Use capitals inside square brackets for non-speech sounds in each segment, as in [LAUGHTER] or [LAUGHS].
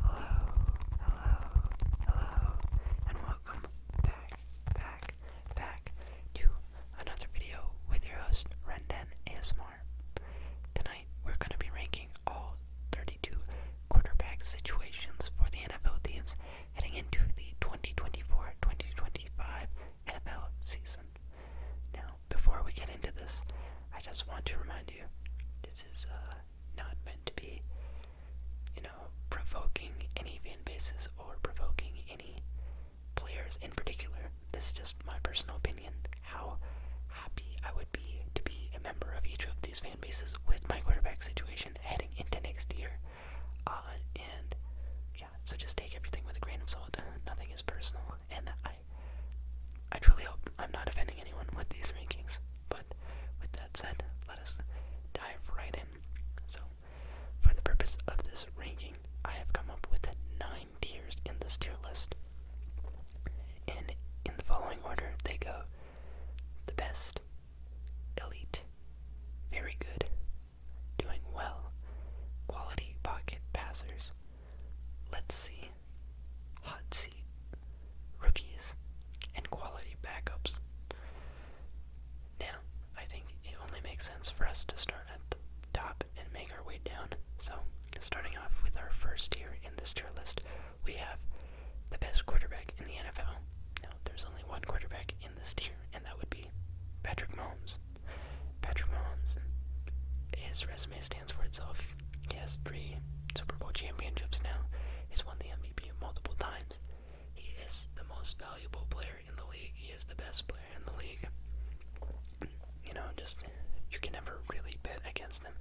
Hello, hello, hello, and welcome back, back, back to another video with your host, Rendan ASMR. Tonight, we're going to be ranking all 32 quarterback situations for the NFL teams heading into the 2024 2025 NFL season. Now, before we get into this, I just want to remind you this is uh, not meant to be, you know, provoking any fan bases or provoking any players in particular. This is just my personal opinion, how happy I would be to be a member of each of these fan bases with my quarterback situation heading into next year. Uh, and yeah, so just take everything with a grain of salt. Nothing is personal and I I truly hope I'm not offending anyone with these rankings. But with that said, let us dive right in. So, for the purpose of this ranking, I have come up with nine tiers in this tier list. And in the following order, they go the best, elite, very good, doing well, quality pocket passers, let's see, hot seat, rookies, and quality backups. Now, I think it only makes sense for us to start at the top and make our way down. So, starting off with our first tier in this tier list, we have the best quarterback in the NFL. Now, there's only one quarterback in this tier, and that would be Patrick Mahomes. Patrick Mahomes, his resume stands for itself. He has three Super Bowl championships now. He's won the MVP multiple times. He is the most valuable player in the league. He is the best player in the league. You know, just you can never really bet against him.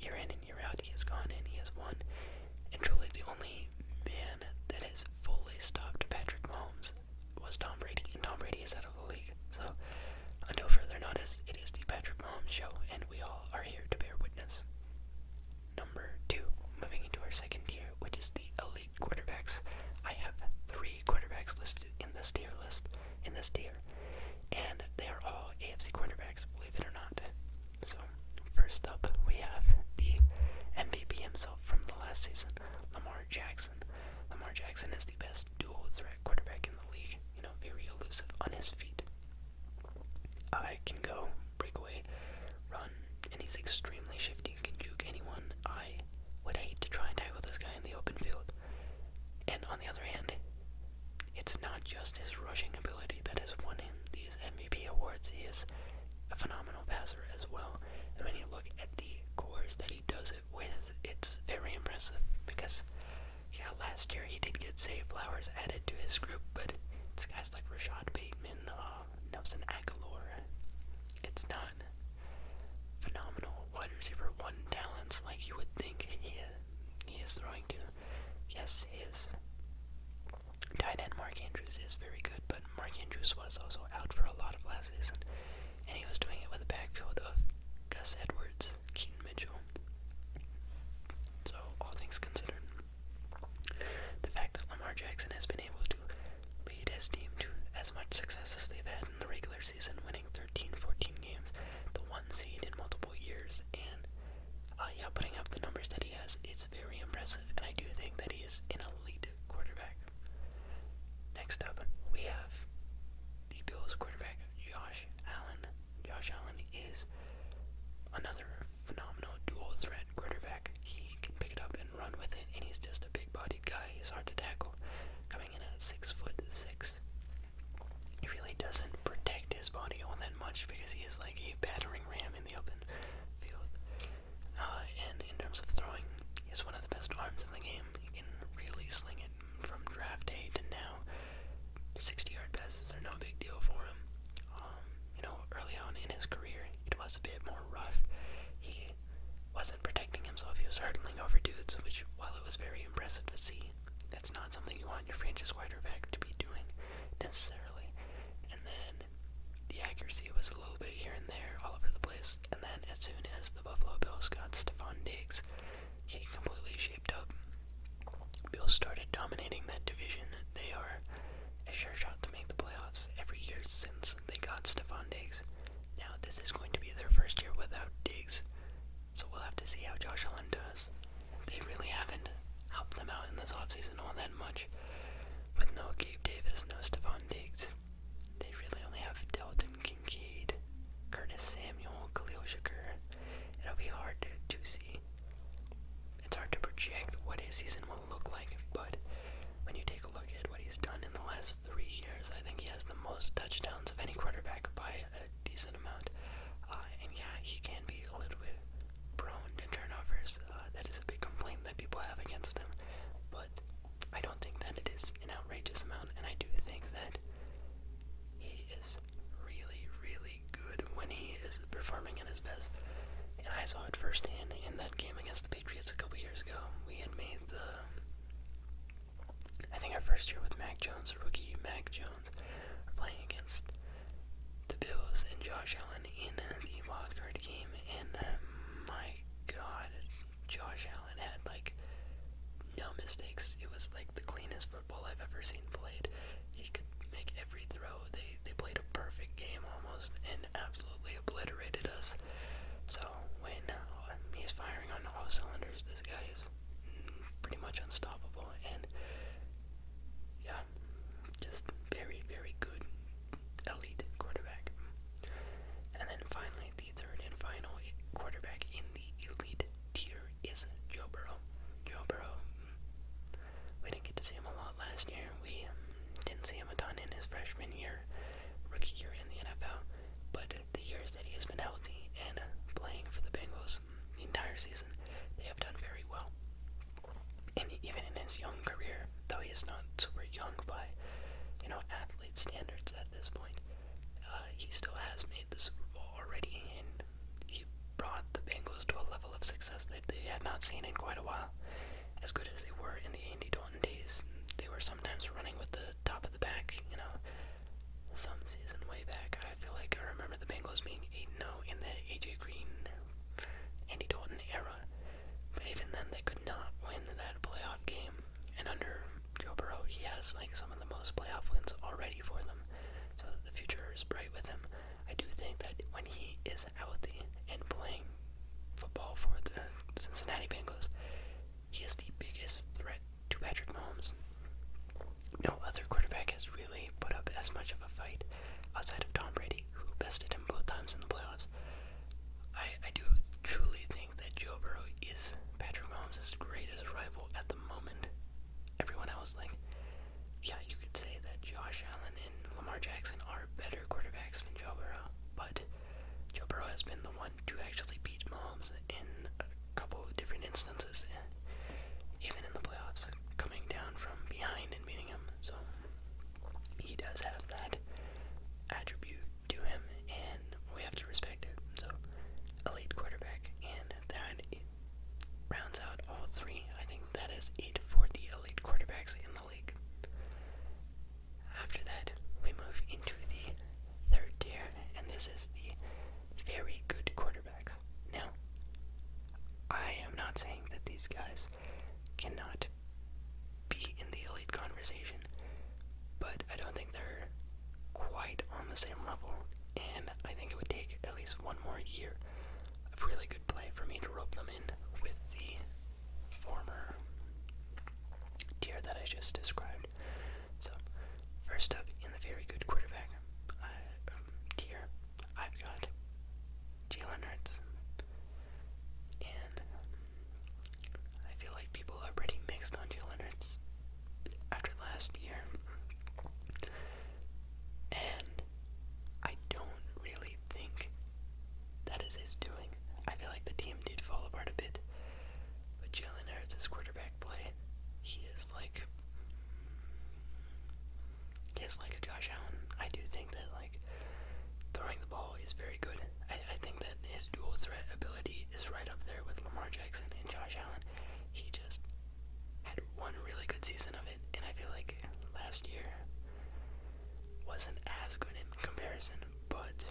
You are in and you are out, he has gone in, he has won. And truly, the only man that has fully stopped Patrick Mahomes was Tom Brady. And Tom Brady is at out of the So, until further notice, it is the Patrick Mahomes show, and we all are here to bear witness. Number two, moving into our second tier, which is the elite quarterbacks. I have three quarterbacks listed in this tier list, in this tier, and they are all AFC quarterbacks, believe it or not. So, first up, we have the MVP himself from the last season, Lamar Jackson. Lamar Jackson is the best dual threat quarterback in the league. You know, very elusive on his feet. I can go, break run, and he's extremely shifty. He Can juke anyone. I would hate to try and tackle this guy in the open field. And on the other hand, it's not just his rushing ability that has won him these MVP awards. He is a phenomenal passer as well. And when you look at the cores that he does it with, it's very impressive because yeah, last year he did get Zay Flowers added to his group, but it's guys like Rashad Bateman, uh, Nelson Aguilar. It's not phenomenal wide receiver one talents like you would think he he is throwing to. Yes, his tight end Mark Andrews is very good, but Mark Andrews was also out for a lot of last season, and he was doing it with a backfield of Gus Edwards, is Keaton Mitchell. So, all things considered, the fact that Lamar Jackson has been able to lead his team to as much success as they've had in the regular season, winning 13, 14 games, the one seed in multiple years, and uh, yeah, putting up the numbers that he has, it's very impressive, and I do think that he is an elite quarterback. Next up, we have the Bills quarterback, Josh Allen. Josh Allen is another phenomenal dual threat quarterback. He can pick it up and run with it, and he's just a big bodied guy. He's hard to tackle. Coming in at six foot six. He really doesn't protect his body all that much because he is like a battering ram in the open field. Uh, and in terms of throwing, he has one of the best arms in the game. He can really sling it from draft day to now. 60 yard passes are no big deal for him. Um, you know, early on in his career, it was a bit more rough. He wasn't protecting himself, he was hurtling over dudes, which, while it was very impressive to see, it's not something you want your franchise wide receiver to be doing necessarily. And then the accuracy was a little bit here and there, all over the place. And then, as soon as the Buffalo Bills got Stephon Diggs, he completely shaped up. Bills started dominating that division. They are a sure shot to make the playoffs every year since they got Stephon Diggs. Now, this is going to be their first year without Diggs, so we'll have to see how Josh Allen does. They really haven't helped them out in this offseason all that much. With no Gabe Davis, no Stephon Diggs, they really only have dealt Dalton Kincaid, Curtis Samuel, Khalil Shakur. It'll be hard to, to see. It's hard to project what his season will look like, but when you take a look at what he's done in the last three years, I think he has the most touchdowns of any quarterback by a decent amount. Uh, and yeah, he can be a little bit prone to turnovers. Uh, that is a big complaint that people have against him, but I don't think that it is is an outrageous amount, and I do think that he is really, really good when he is performing at his best. And I saw it firsthand in that game against the Patriots a couple years ago. We had made the, I think our first year with Mac Jones, rookie Mac Jones, were playing against the Bills and Josh Allen in the wildcard game, and my God, Josh Allen had like no mistakes. It was like the cleanest football I've ever seen played. He could make every throw. They they played a perfect game almost and absolutely obliterated us. So when uh, he's firing on all cylinders, this guy is pretty much unstoppable. And yeah, just very very good elite quarterback. And then finally the third and final quarterback in the elite tier is Joe Burrow. Joe Burrow, we didn't get to see him a lot last year. We didn't see him a ton in his freshman year, rookie year in the NFL, but the years that he has been healthy and playing for the Bengals the entire season, they have done very well. And even in his young career, though he is not super young by, you know, athlete standards at this point, uh, he still has made the Super Bowl already, and he brought the Bengals to a level of success that they had not seen in quite a while. As good as they were in the Andy Dalton days, they were sometimes running with the top of the back, you know. Some season way back, I feel like I remember the Bengals being 8-0 in the A.J. Green, Andy Dalton era. But even then, they could not win that playoff game. And under Joe Burrow, he has like some of the most playoff wins already for them, so the future is bright with him. I do think that when he is out there and playing football for the Cincinnati Bengals, he is the biggest threat to Patrick Mahomes. No other quarterback has really put up as much of a fight outside of Tom Brady, who bested him both times in the playoffs. I, I do truly think that Joe Burrow is Patrick Mahomes' greatest rival at the the moment. Everyone else, like, yeah, you could say that Josh Allen and Lamar Jackson are better quarterbacks than Joe Burrow, but Joe Burrow has been the one to actually beat Mahomes in a couple of different instances, even in the playoffs, coming down from behind and beating him. So he does have that attribute to him, and we have to respect. So, elite quarterback, and that rounds out all three. I think that is it for the elite quarterbacks in the league. After that, we move into the third tier, and this is the very good quarterbacks. Now, I am not saying that these guys cannot be in the elite conversation, but I don't think they're quite on the same level, and I think it would take at least one more year of really good play for me to rope them in with the former tier that I just described. So, first up in the very good quarterback uh, um, tier, I've got Jalen Hurts, and I feel like people are pretty mixed on Jalen Hurts after last year. And I don't really think that is his doing. I feel like the team did fall apart a bit. But Jalen Hurts' his quarterback play, he is like he is like a Josh Allen. I do think that like throwing the ball is very good. I, I think that his dual threat ability is right up there with Lamar Jackson and Josh Allen he just had one really good season of it, and I feel like last year wasn't as good in comparison, but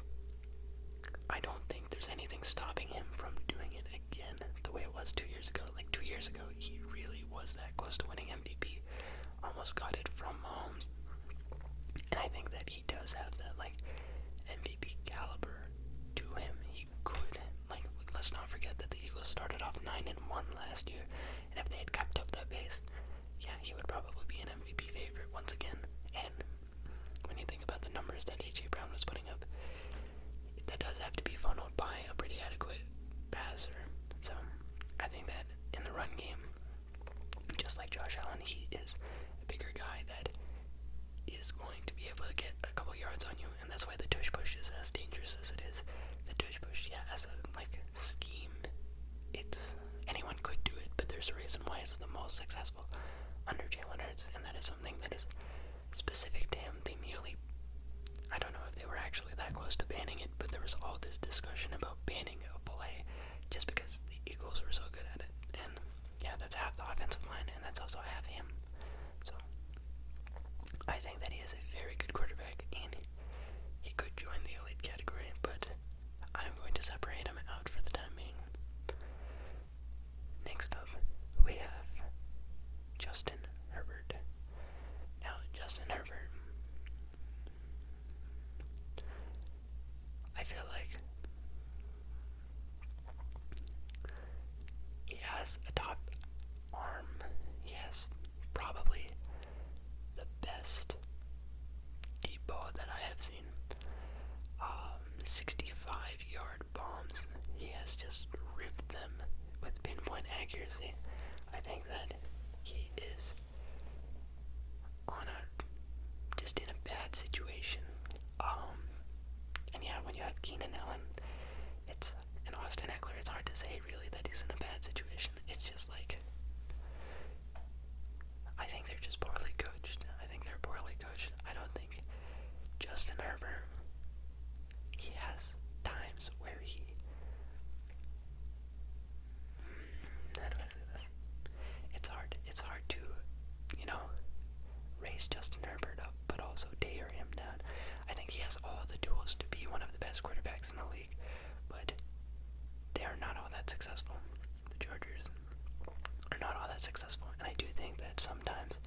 I don't think there's anything stopping him from doing it again the way it was two years ago. Like two years ago, he really was that close to winning MVP. Almost got it from Mahomes. And I think that he does have that like MVP caliber to him. He could like let's not forget that the Eagles started off nine and one last year, and if they had kept up that pace, yeah, he would probably be an MVP favorite once again. And when you think about the numbers that AJ Brown was putting up, that does have to be funneled by a pretty adequate passer. So I think that in the run game, just like Josh Allen, he is a bigger guy that is going to be able to get a couple yards on you, and that's why the tush push is as dangerous as it is. The tush push, yeah, as a like scheme, it's anyone could do it, but there's a reason why it's the most successful under Jalen Hurts, and that is something that is specific to him. They nearly, I don't know if they were actually that close to banning it, but there was all this discussion about banning a play just because the Eagles were so good at it, and yeah, that's half the offensive line, and that's also half him. So I think that he is a very good quarterback and he could join the elite category, but I'm going to separate him out for the time being. Next up, we have Justin Herbert. Now, Justin Herbert, I feel like he has a top arm. He has probably the best deep ball that I have seen. Um, 65 yard bombs. He has just ripped them with pinpoint accuracy. I think that he is on a just in a bad situation. Um, and yeah, when you have Keenan Allen, it's and Austin Eckler, it's hard to say really that he's in a bad situation. It's just like I think they're just poorly coached. I think they're poorly coached. I don't think Justin Herbert. He has times where he. Hmm, how do I say this? It's hard. It's hard to, you know, raise Justin Herbert up, but also tear him down. I think he has all the tools to be one of the best quarterbacks in the league, but they are not all that successful. The Chargers are not all that successful, and I do think that sometimes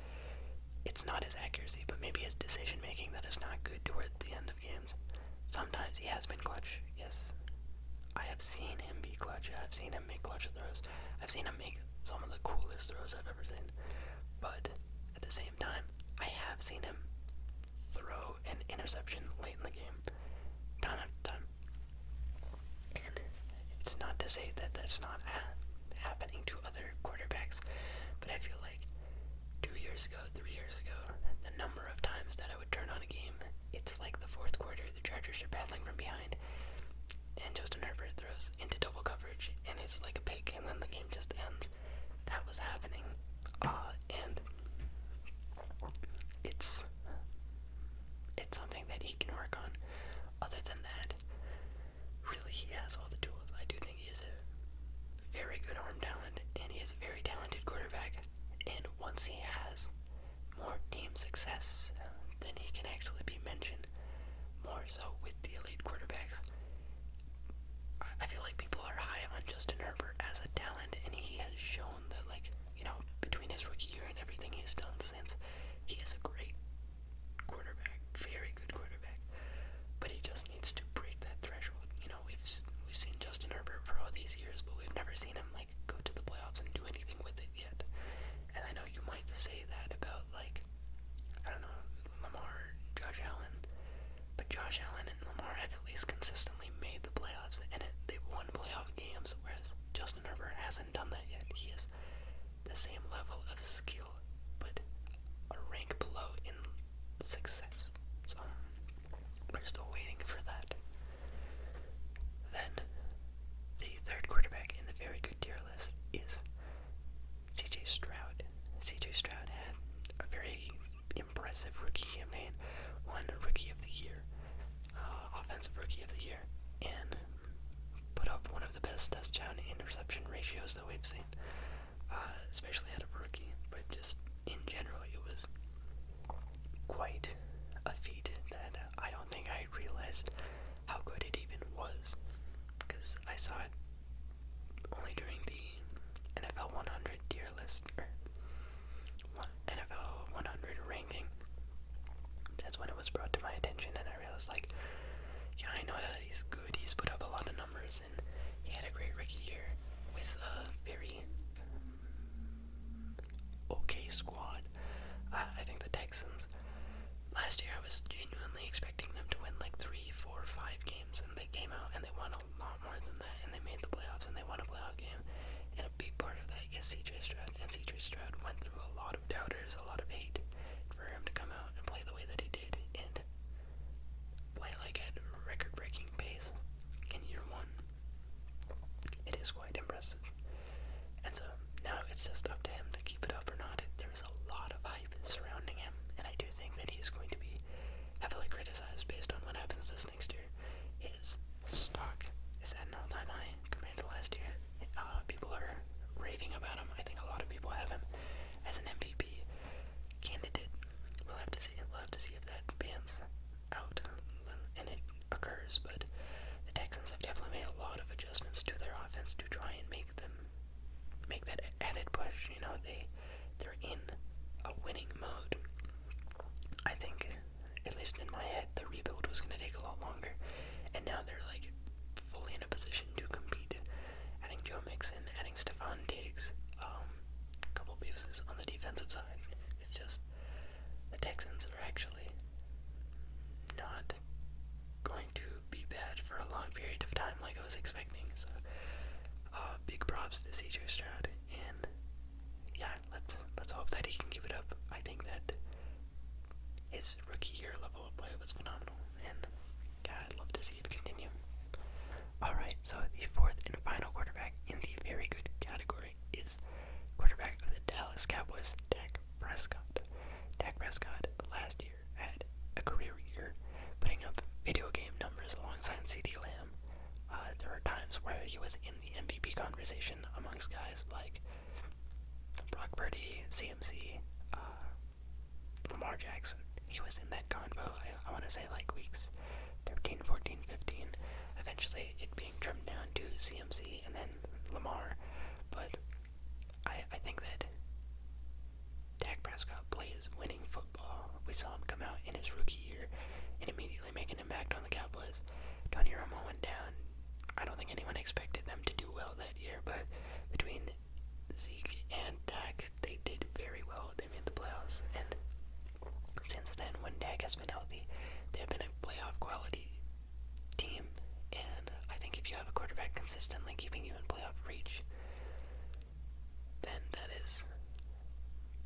it's not his accuracy, but maybe his decision making that is not good toward the end of games. Sometimes he has been clutch, yes. I have seen him be clutch. I have seen him make clutch throws. I've seen him make some of the coolest throws I've ever seen. But at the same time, I have seen him throw an interception late in the game, time after time. And it's not to say that that's not happening to other quarterbacks, but I feel like two years ago, three years ago, the number of times that I would turn on a game, it's like the fourth quarter, the Chargers are battling from behind, and Justin Herbert throws into double coverage and it's like a pick and then the game just ends. That was happening. Uh, and it's it's something that he can work on. Other than that, really he has all the tools. I do think he is a very good arm talent and he is a very talented quarterback. And once he has more team success, then he can actually be mentioned more so with the elite quarterbacks. I feel like people are high on Justin Herbert as a talent, and he has shown that, like, you know, between his rookie year and everything he's done since, he is a great quarterback, very good quarterback. But he just needs to break that threshold. You know, we've we've seen Justin Herbert for all these years, but we've never seen him like go to the playoffs and do anything with it yet. And I know you might say that about like I don't know, Lamar, Josh Allen. But Josh Allen and Lamar have at least consistently made the playoffs, and they won playoff games, whereas Justin Herbert hasn't done that yet. He is the same level of skill, but a rank below in success. So, we're still waiting for that. Then, the third quarterback in the very good tier list is CJ Stroud. CJ Stroud had a very impressive rookie campaign, won Rookie of the Year, uh, Offensive Rookie of the Year, and put up one of the best touchdown interception ratios that we've seen, uh, especially out of a rookie, but just in general, it was quite a feat that I don't think I I realized how good it even was because I saw it only during the NFL 100 tier list or NFL 100 ranking. That's when it was brought to my attention, and I realized like, yeah, I know that he's good. He's put up a lot of numbers, and he had a great rookie year with a very um, okay squad. I think the Texans last year I was genuinely expecting them to win like three, four, five games, and they came out and they won a lot more than that, and they made the playoffs and they won a playoff game. And a big part of that is CJ Stroud, and CJ Stroud went through a lot of doubters, a lot of hate, for him to come out and play the way that he did and play like at a record-breaking pace in year one. It is quite impressive. And so now it's just up to him to keep it up or not. There's a lot of hype surrounding him, and I do think that he's going to be heavily criticized based on what happens this next year. His stock is at an all-time high compared to last year. Uh, people are raving about him. I think a lot of people have him as an MVP candidate. We'll have to see. We'll have to see if that pans out and it occurs. But the Texans have definitely made a lot of adjustments to their offense to try and make them make that added push. You know, they they're in a winning mode. I think, at least in my head, the rebuild was going to take a lot longer, and now they're like fully in a position to compete. Adding Joe Mixon, adding Stephon Diggs, a um, couple pieces on the defensive side. It's just the Texans are actually not going to be bad for a long period of time like I was expecting. So, uh, big props to CJ Stroud, and yeah, let's let's hope that he can give it up. I think that his rookie year level of play was phenomenal, and God, I'd love to see it continue. All right, so the fourth and final quarterback in the very good category is quarterback of the Dallas Cowboys, Dak Prescott. Dak Prescott last year a career year, putting up video game numbers alongside CD Lamb. Uh, there are times where he was in the MVP conversation amongst guys like Brock Purdy, CMC, uh, Lamar Jackson. He was in that convo, I, I want to say like weeks 13, 14, 15. Eventually, it being trimmed down to CMC and then Lamar. But I I think that Dak Prescott plays winning football. We saw him come out in his rookie year and immediately make an impact on the Cowboys. Tony Romo went down. I don't think anyone expected them to do well that year, but between Zeke and Dak, they did very well. They made the playoffs, and since then, when Dak has been healthy, they have been a playoff quality team. And I think if you have a quarterback consistently keeping you in playoff reach, then that is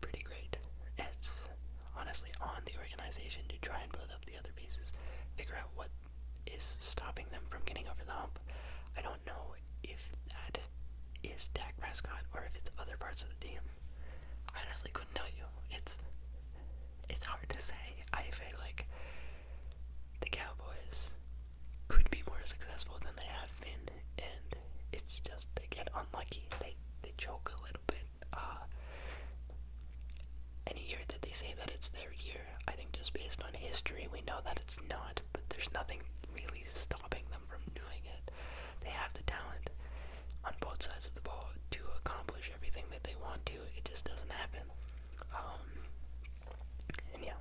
pretty great. It's honestly on the organization to try and build up the other pieces, figure out what is stopping them from getting over the hump. I don't know if that is Dak Prescott or if it's other parts of the team. I honestly couldn't tell you. It's it's hard to say. I feel like the Cowboys could be more successful than they have been, and it's just they get unlucky. They they choke a little bit. Uh, any year that they say that it's their year, I think just based on history, we know that it's not. But there's nothing really stopping them from doing it. They have the talent on both sides of the ball to accomplish everything that they want to. It just doesn't happen. Um, yeah,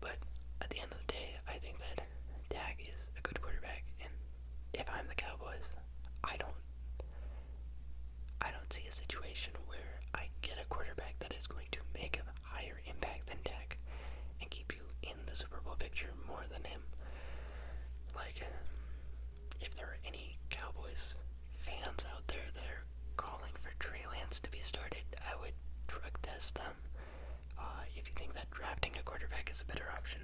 but at the end of the day, I think that Dak is a good quarterback, and if I'm the Cowboys, I don't, I don't see a situation where I get a quarterback that is going to make a higher impact than Dak, and keep you in the Super Bowl picture more than him. Like, if there are any Cowboys fans out there that are calling for Trey Lance to be started, I would drug test them. Uh, if you think that drafting a quarterback is a better option,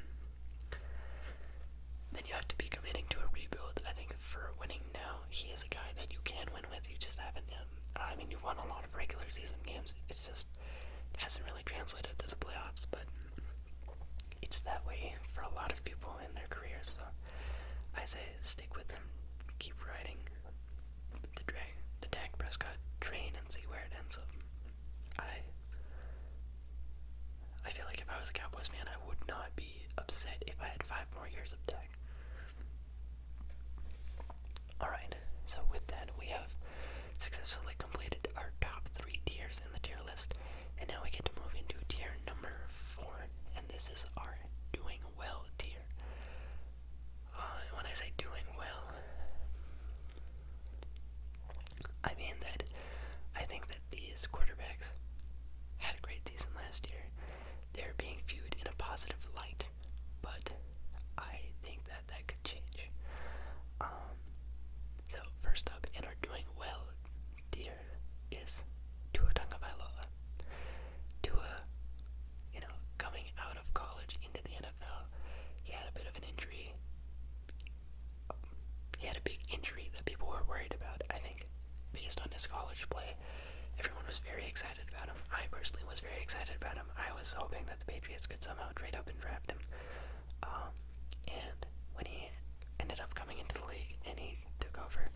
then you have to be committing to a rebuild. I think for winning now, he is a guy that you can win with. You just haven't. Um, I mean, you've won a lot of regular season games. It's just hasn't really translated to the playoffs, but it's that way for a lot of people in their careers. So I say stick with them. keep riding the Dak Prescott train and see where it ends up. I I feel like if I was a Cowboys fan, I would not be upset if I had five more years of Dak. Alright, so with that, we have successfully completed our top three tiers in the tier list, and now we get to move into tier number four, and this is our doing well tier. Uh, when I say doing well, I mean that I think that these quarterbacks had a great season last year. They're being viewed in a positive light, but I think that that could change. Um, so first up in our doing well tier is Tua Tagovailoa. Tua, you know, coming out of college into the NFL, he had a bit of an injury. He had a big injury that people were worried about, I think, based on his college play. Everyone was very excited about him. I personally was very excited about him. I was hoping that the Patriots could somehow trade up and draft him. Um, and when he ended up coming into the league and he took over,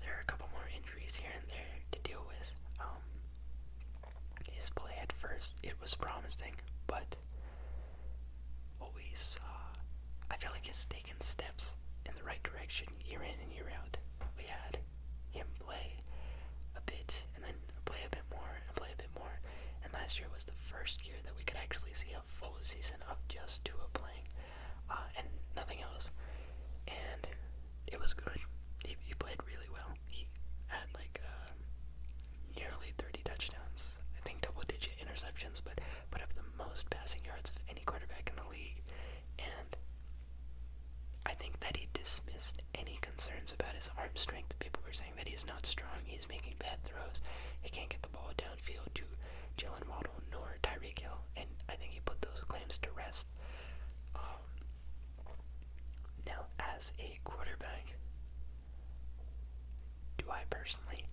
there are a couple more here and there to deal with. Um, his play at first, it was promising, but what we saw, I feel like it's taken steps in the right direction year in and year out. We had him play a bit, and then play a bit more, and play a bit more, and last year was the first year that we could actually see a full season of just Tua playing. Uh, and nothing else. And it was good. He, played really well. He had like uh, nearly 30 touchdowns. I think double-digit interceptions, but put up the most passing yards of any quarterback in the league. And I think that he dismissed any concerns about his arm strength. People were saying that he's not strong, he's making bad throws, he can't get the ball downfield to Jalen Waddle nor Tyreek Hill, and I think he put those claims to rest. Um, now, as a quarterback, do I personally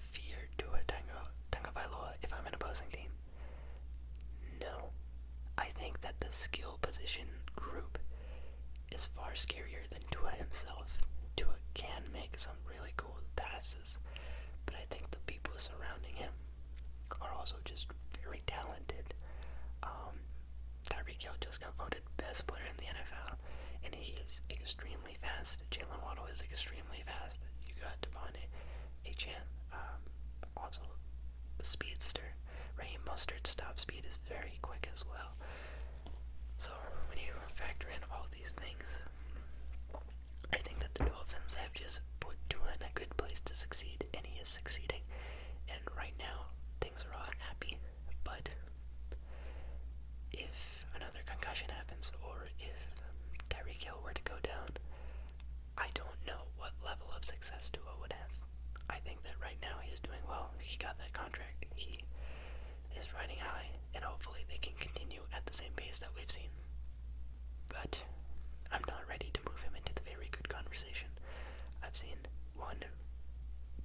fear Tua Tagovailoa if I'm an opposing team? No. I think that the skill position group is far scarier than Tua himself. Tua can make some really cool passes, but I think the people surrounding him are also just very talented. Um, Tyreek Hill just got voted best player in the NFL, and he is extremely fast. Jalen Waddle is extremely fast. You got Devontae Achan, um, also a speedster. Raheem Mustard's top speed is very quick as well. So when you factor in all these things, I think that the Dolphins have just put Tua in a good place to succeed, and he is succeeding. And right now, things are all happy, but if another concussion happens, or if Tyreek Hill were to go down, I don't know what level of success Tua would have. I think that right now he is doing well. He got that contract. He is riding high, and hopefully they can continue at the same pace that we've seen. But I'm not ready to move him into the very good conversation. I've seen one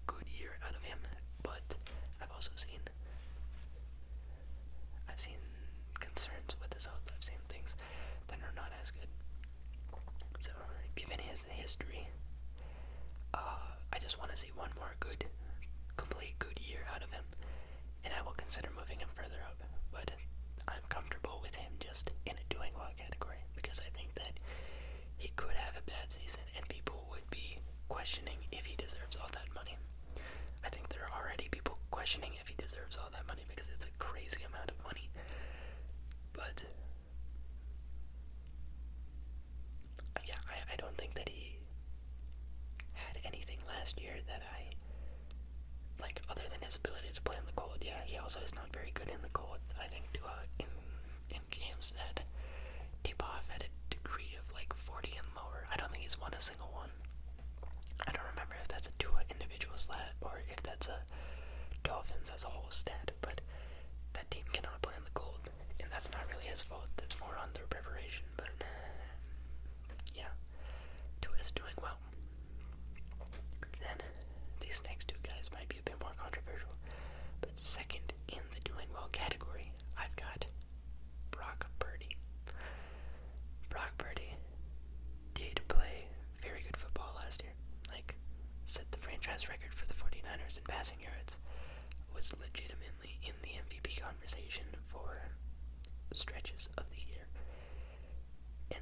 good year out of him, but I've also seen I've seen concerns with his health. I've seen things that are not as good. So, given his history, uh, I just want to see one more good, complete good year out of him, and I will consider moving him further up. But I'm comfortable with him just in a doing well category because I think that he could have a bad season and people would be questioning if he deserves all that money. I think there are already people questioning if he deserves all that money because it's a crazy amount of money. But yeah, I, I don't think that he had anything last year that I like other than his ability to play in the cold, yeah, he also is not very good in the cold. I think to uh, in in games that Tibov had a degree of like 40 and lower. I don't think he's won a single one. I don't remember if that's a Tua individual stat or if that's a Dolphins as a whole stat, but that team cannot play in the cold, and that's not really his fault. That's more on their preparation, but yeah, Tua is doing well. Um, then, these next two guys might be a bit more controversial, but second in the doing well category, I've got Brock Purdy. Brock Purdy did play very good football last year, like, set the franchise record for the 49ers in passing yards, was legitimately in the MVP conversation for stretches of the year and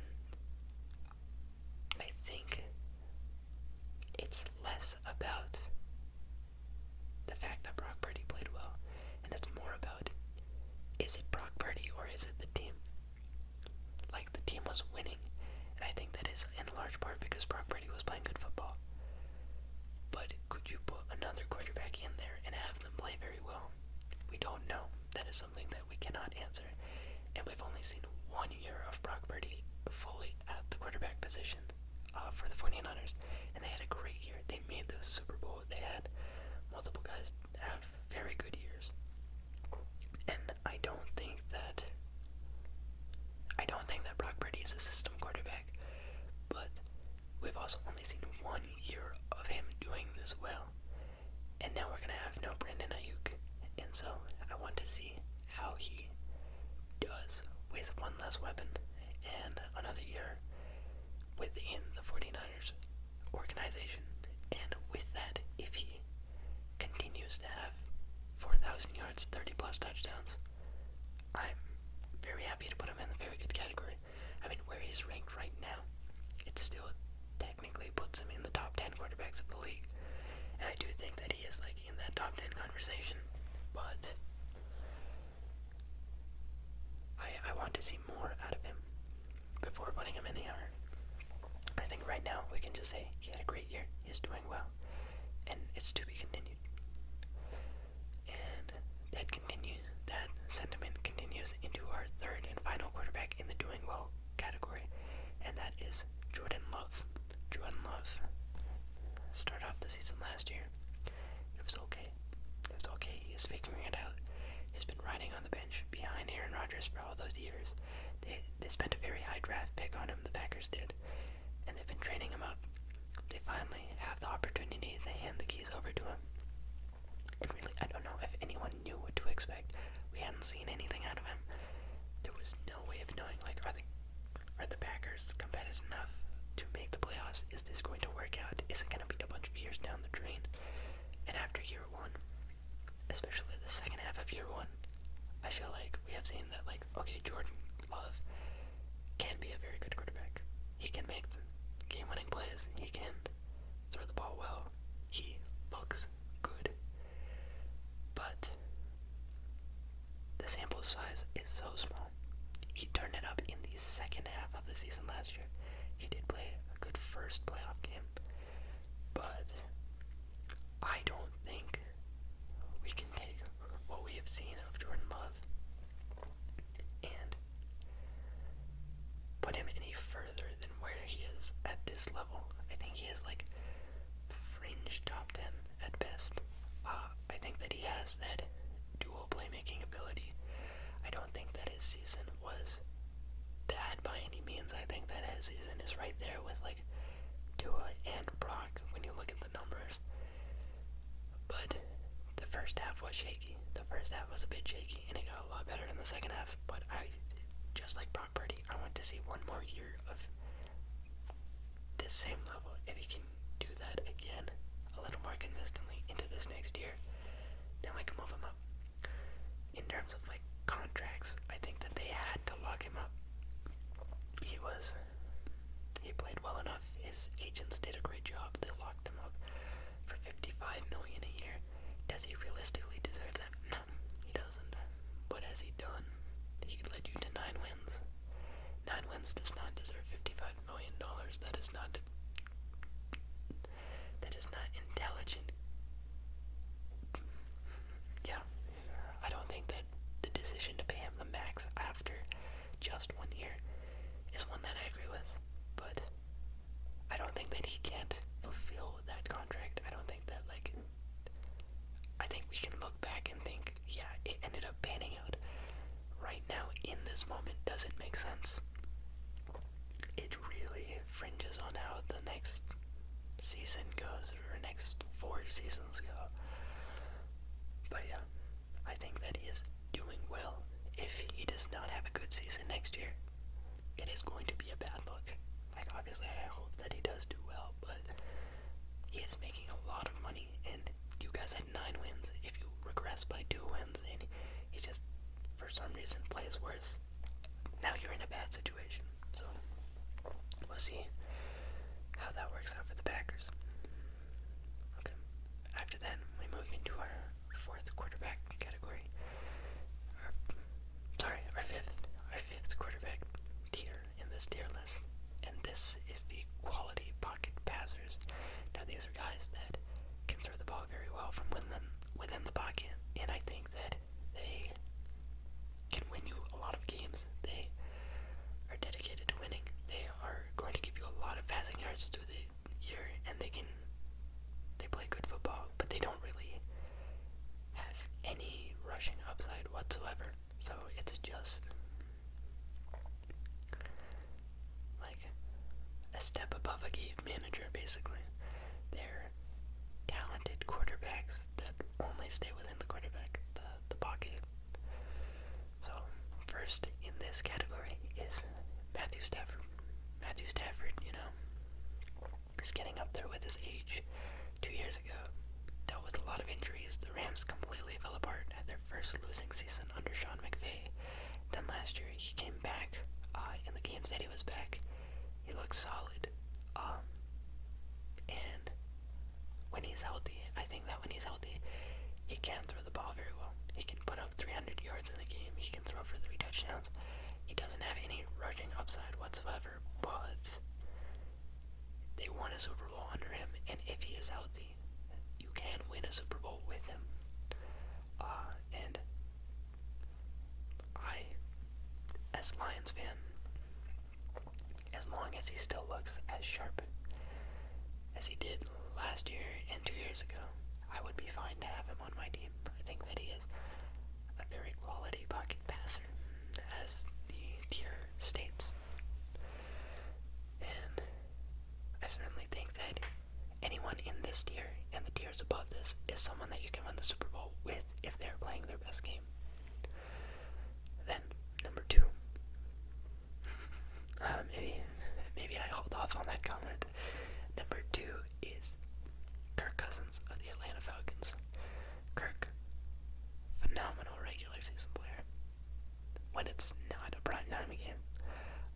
I think it's less about the fact that Brock Purdy played well, and it's more about is it Brock Purdy or is it the team? Like the team was winning, and I think that is in large part because Brock Purdy was playing good football. But could you put another quarterback in there and have them play very well? We don't know. That is something we cannot answer, and we've only seen one year of Brock Purdy fully at the quarterback position uh, for the 49ers, and they had a great year. They made the Super Bowl. They had multiple guys have very good years, and I don't think that I don't think that Brock Purdy is a system quarterback, but we've also only seen one year of him doing this well and now we're gonna have no Brandon Ayuk. And so I want to see how he does with one less weapon and another year within the 49ers organization. And with that, if he continues to have 4,000 yards, 30 plus touchdowns, I'm very happy to put him in the very good category. I mean, where he's ranked right now, it still technically puts him in the top 10 quarterbacks of the league. And I do think that he is, like, in that top 10 conversation, but I, I want to see more out of him before putting him any higher. I think right now we can just say he had a great year, he's doing well, and it's to be continued. And that continues that sentiment continues into our third and final quarterback in the doing well category, and that is Jordan Love. Jordan Love started off the season last year. It was okay. It was okay. He was figuring it out. He's been riding on the bench behind Aaron Rodgers for all those years. They they spent a very high draft pick on him. The Packers did, and they've been training him up. They finally have the opportunity. They hand the keys over to him. And really, I don't know if anyone knew what to expect. We hadn't seen anything out of him. There was no way of knowing, like, are the are the Packers competitive enough to make the playoffs? Is this going to work out? Is it going to be a bunch of years down the drain? And after year one, especially the second half of year one, I feel like we have seen that, like, okay, Jordan Love can be a very good quarterback. He can make the game-winning plays. He can throw the ball well. He looks good. But the sample size is so small. He turned it up in the second half of the season last year. He did play a good first playoff game. But I don't think we can take what we have seen of Jordan Love and put him in a further than where he is at this level. I think he is like fringe top 10 at best. Uh, I think that he has that dual playmaking ability. I don't think that his season was bad by any means. I think that his season is right there with like Tua and Brock when you look at the numbers. But the first half was shaky. The first half was a bit shaky, and it got a lot better in the second half stuff, but I, just like Brock Purdy, I want to see one more year of this same level. If he can do that again, a little more consistently into this next year, then we can move him up. In terms of like contracts, I think that they had to lock him up. He was, he played well enough. His agents did a great job. They locked him up for 55 million a year. Does he realistically deserve that? No, he doesn't. What has he done? He led you to nine wins. Nine wins does not deserve 55 million dollars. That is not that is not intelligent. Yeah. I don't think that the decision to pay him the max after just one year is one that I agree with. But I don't think that he can't fulfill that contract. I don't think that like I think we can look back and think, yeah, it ended up panning out. Right now in this moment doesn't make sense. It really fringes on how the next season goes or next four seasons go. But yeah, I think that he is doing well if he does not have a good season next year it is going to be a bad look. Like, obviously, I hope that he does do well, but he is making a lot of money, and you guys had nine wins. If you regress by two wins, and he just, for some reason, plays worse, now you're in a bad situation. So, we'll see how that works out for the Packers. Okay. After that, we move into our fourth quarterback category. sorry, our fifth, our fifth quarterback tier in this tier list, and this is the quality pocket passers. Now these are guys that can throw the ball very well from within within the pocket, and I think that they can win you a lot of games. They are dedicated to winning. They are going to give you a lot of passing yards through the year and they can they play good football, but they don't really have any rushing upside whatsoever. So it's just like a step above a game manager basically. They're talented quarterbacks that only stay within the quarterback, the, the pocket. So first in this category is Matthew Stafford Matthew Stafford, you know, is getting up there with his age. Two years ago, dealt with a lot of injuries. The Rams completely fell apart at their first losing season under Sean McVay. Then last year, he came back uh, in the games that he was back. He looked solid. Um, and when he's healthy, I think that when he's healthy, he can throw the ball very well. He can put 300 yards in the game. He can throw for three touchdowns. He doesn't have any rushing upside whatsoever, but they won a Super Bowl under him, and if he is healthy, you can win a Super Bowl with him. Uh, and I, as Lions fan, as long as he still looks as sharp as he did last year and two years ago, I would be fine to have him on my team. I think that he is a very quality pocket passer, as the tier states. And I certainly think that anyone in this tier and the tiers above this is someone that you can win the Super Bowl with if they're playing their best game. Then number two. [LAUGHS] Uh, maybe maybe I hold off on that comment. Number two is Kirk Cousins of the Atlanta Falcons. Kirk, phenomenal regular season player. When it's not a prime time game,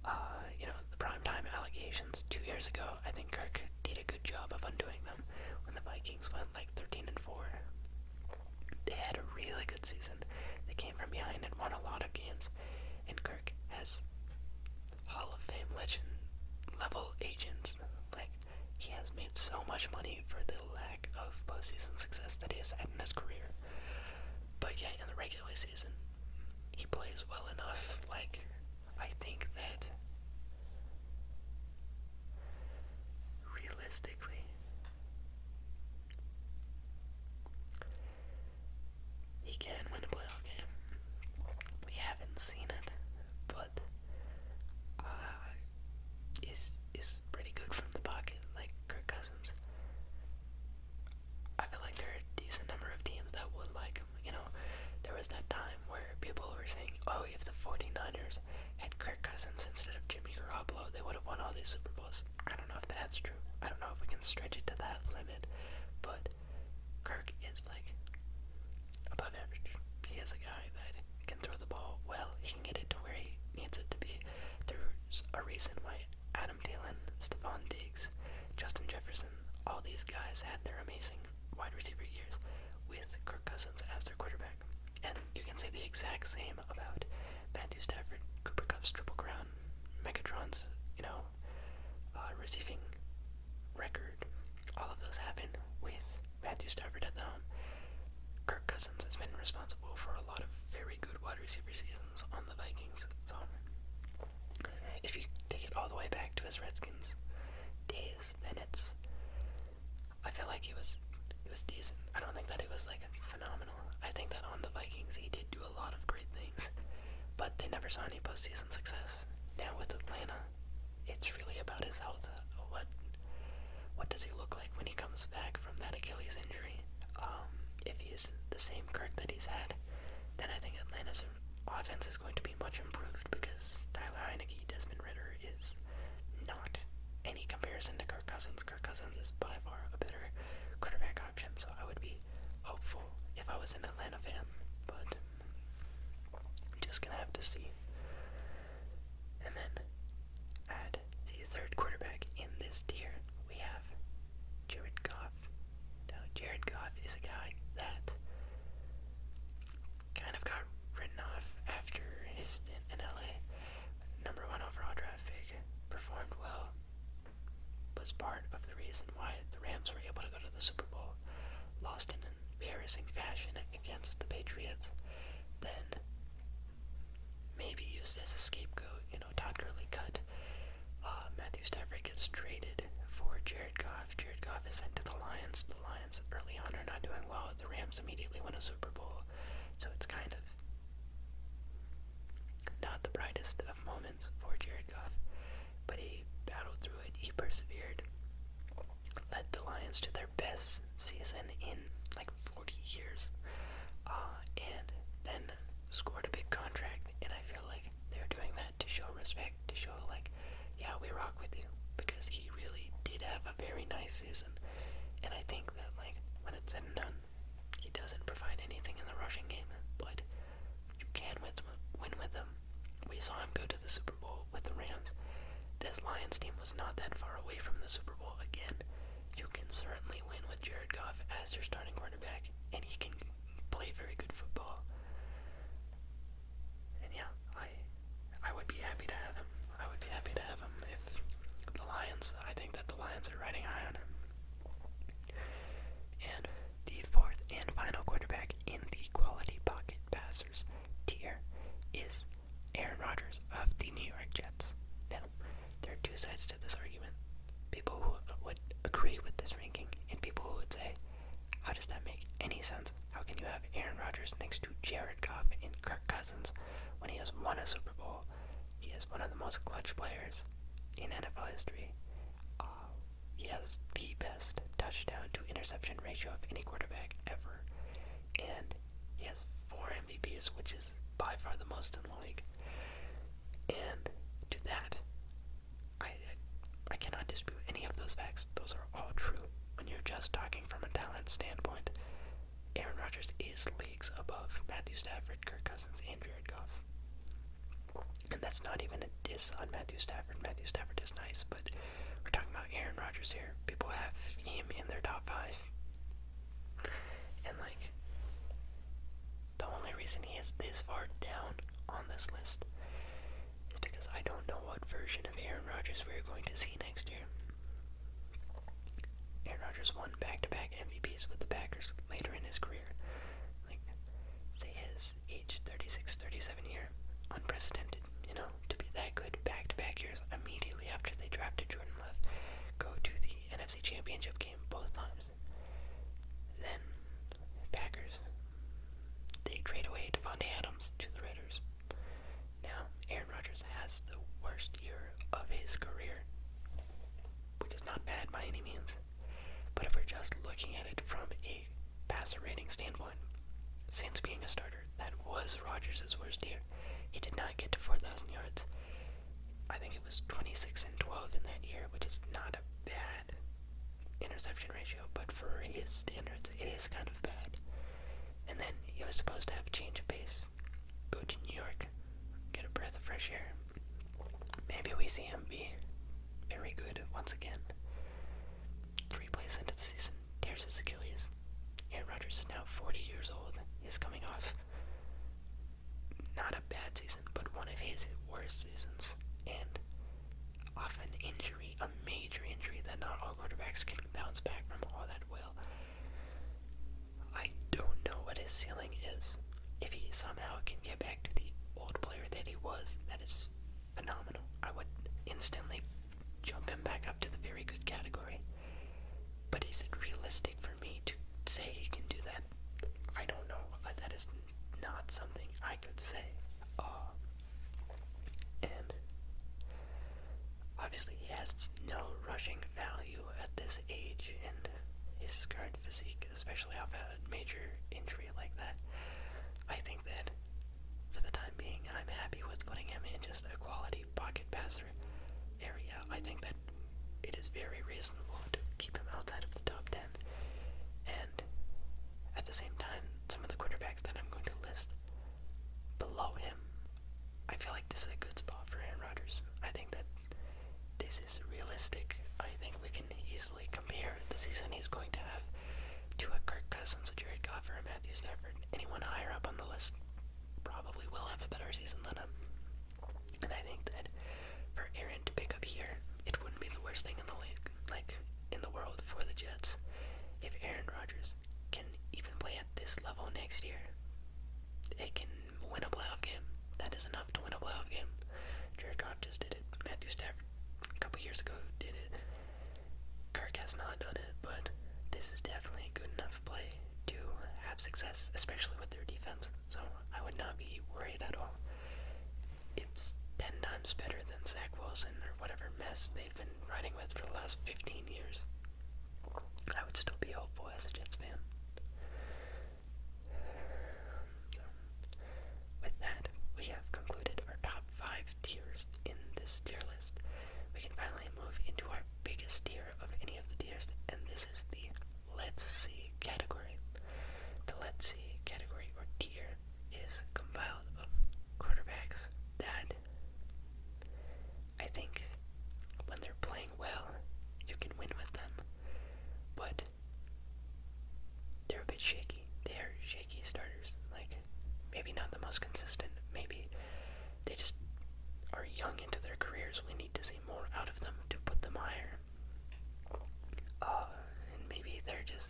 uh, you know the prime time allegations two years ago. I think Kirk did a good job of undoing them when the Vikings went like 13 and four. They had a really good season. They came from behind and won a lot of games. And Kirk has Hall of Fame legend level agents. Like, he has made so much money for the lack of postseason success that he's has had in his career. But yeah, in the regular season, he plays well enough. Like, I think that realistically, he can win a playoff game. We haven't seen it, but uh, is is pretty good from the pocket, like Kirk Cousins. I feel like there are a decent number of teams that would like him. You know, there was that time where people were saying, oh, if the 49ers had Kirk Cousins instead of Jimmy Garoppolo, they would have won all these Super Bowls. I don't know if that's true. I don't know if we can stretch it to that limit, but Kirk is like above average. He is a guy that can throw the ball well. He can get it to where he needs it to be. There's a reason why Adam Thielen, Stephon Diggs, Justin Jefferson, all these guys had their amazing wide receiver years with Kirk Cousins as their quarterback. And you can say the exact same about Matthew Stafford, Cooper Cup's Triple Crown, Megatron's, you know, uh, receiving record all of those happen with Matthew Stafford at the helm. Kirk Cousins has been responsible for a lot of very good wide receiver seasons on the Vikings. So, if you take it all the way back to his Redskins days, then it's. I feel like he was he was decent. I don't think that he was like phenomenal. I think that on the Vikings he did do a lot of great things, but they never saw any postseason success. Now with Atlanta, it's really about his health. What what does he look like when he comes back from that Achilles injury? Um, if he's the same Kirk that he's had, then I think Atlanta's offense is going to be much improved because Tyler Heineke, Desmond Ritter is not any comparison to Kirk Cousins. Kirk Cousins is by far a better quarterback option, so I would be hopeful if I was an Atlanta fan, but we're just gonna have to see. And then at the third quarterback in this tier, we have Jared Goff. Now, Jared Goff is a guy that kind of got written off after his stint in LA. Number one overall draft pick, performed well, was part of the reason why the Rams were able to go to the Super Bowl lost in embarrassing fashion against the Patriots, then maybe used as a scapegoat. You know, Todd Gurley cut. Uh, Matthew Stafford gets traded for Jared Goff. Jared Goff is sent to the Lions. The Lions early on are not doing well. The Rams immediately win a Super Bowl. So it's kind of not the brightest of moments for Jared Goff. But he battled through it, he persevered, led the Lions to their best season in like 40 years, uh, and then scored a big contract. And I feel like they're doing that to show respect, to show, like, yeah, we rock with you, because he really did have a very nice season. And I think that, like, when it's said and done, he doesn't provide anything in the rushing game, but you can win with him. We saw him go to the Super Bowl with the Rams. This Lions team was not that far away from the Super Bowl again. You can certainly win with Jared Goff as your starting quarterback, and he can play very good football. And yeah, I I would be happy to have him. I would be happy to have him if the Lions I think that the Lions are riding high on him. And the fourth and final quarterback in the quality pocket passers tier is Aaron Rodgers of the New York Jets. Now, there are two sides to this argument. People who would agree with this ranking, and people who would say, How does that make any sense? How can you have Aaron Rodgers next to Jared Goff and Kirk Cousins when he has won a Super Bowl? He is one of the most clutch players in NFL history. Uh, he has the best touchdown to interception ratio of any quarterback ever. And he has four MVPs, which is by far the most in the league. And to that, I, I cannot dispute any of those facts. Those are all true. When you're just talking from a talent standpoint, Aaron Rodgers is leagues above Matthew Stafford, Kirk Cousins, and Jared Goff. And that's not even a diss on Matthew Stafford. Matthew Stafford is nice, but we're talking about Aaron Rodgers here. People have him in their top five. And, like, the only reason he is this far down on this list is because I don't know what version of Aaron Rodgers we're going to see next year. Aaron Rodgers won back to back MVPs with the Packers later in his career. Like, say his age 36, 37 year, unprecedented, you know, to be that good back-to-back years immediately after they drafted Jordan Love, go to the NFC Championship game both times. Then, Packers, they trade away Devontae Adams to the Raiders. Now, Aaron Rodgers has the worst year of his career, which is not bad by any means, but if we're just looking at it from a passer rating standpoint. Since being a starter, that was Rodgers' worst year. He did not get to 4,000 yards. I think it was 26 and 12 in that year, which is not a bad interception ratio, but for his standards, it is kind of bad. And then he was supposed to have a change of pace, go to New York, get a breath of fresh air. Maybe we see him be very good once again. Three plays into the season, tears his Achilles. Aaron Rodgers is now 40 years old. He's coming off not a bad season, but one of his worst seasons. And off an injury, a major injury that not all quarterbacks can bounce back from all that well. I don't know what his ceiling is. If he somehow can get back to the old player that he was, that is phenomenal. I would instantly jump him back up to the very good category. But is it realistic for me to say he can do that? I don't know. Uh, that is not something I could say. Uh, and obviously, he has no rushing value at this age and his scarred physique, especially after a major injury like that. I think that for the time being, I'm happy with putting him in just a quality pocket passer area. I think that it is very reasonable to keep him outside of the top 10. And at the same time, some of the quarterbacks that I'm going to list below him, I feel like this is a good spot for Aaron Rodgers. I think that this is realistic. I think we can easily compare the season he's going to have to a Kirk Cousins, a Jared Goff, or Matthew Stafford. Anyone higher up on the list probably will have a better season than him. And I think that for Aaron to pick up here, it wouldn't be the worst thing in the league, like in the world for the Jets. If Aaron Rodgers can even play at this level next year, it can win a playoff game. That is enough to win a playoff game. Jared Goff just did it. Matthew Stafford a couple years ago did it. Kirk has not done it, but this is definitely a good enough play to have success, especially with their defense. So I would not be worried at all. It's ten times better than Zach Wilson or whatever mess they've been riding with for the last fifteen years. I would still be hopeful as a Jets fan. with that, we have concluded our top five tiers in this tier list. We can finally move into our biggest tier of any of the tiers, and this is the Let's See category. The Let's See category or tier is compiled of quarterbacks that I think when they're playing well, you can win with them, but they're a bit shaky. They're shaky starters. Like, Maybe not the most consistent. Maybe they just are young into their careers. We need to see more out of them to put them higher. Uh, and maybe they're just.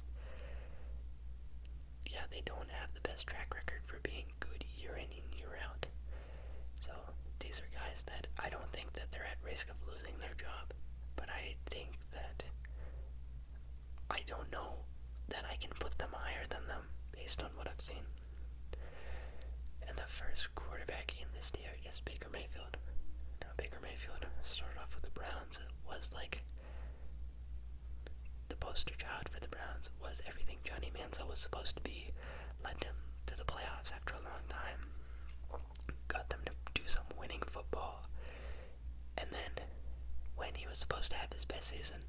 Yeah, they don't have the best track record for being good year in and year out. So these are guys that I don't think that they're at risk of losing their job, but I think that I don't know that I can put them higher than them based on what I've seen. And the first quarterback in this tier is Baker Mayfield. Now, Baker Mayfield started off with the Browns, was like the poster child for the Browns, was everything Johnny Manziel was supposed to be, led them to the playoffs after a long time, got them to do some winning football, and then, when he was supposed to have his best season,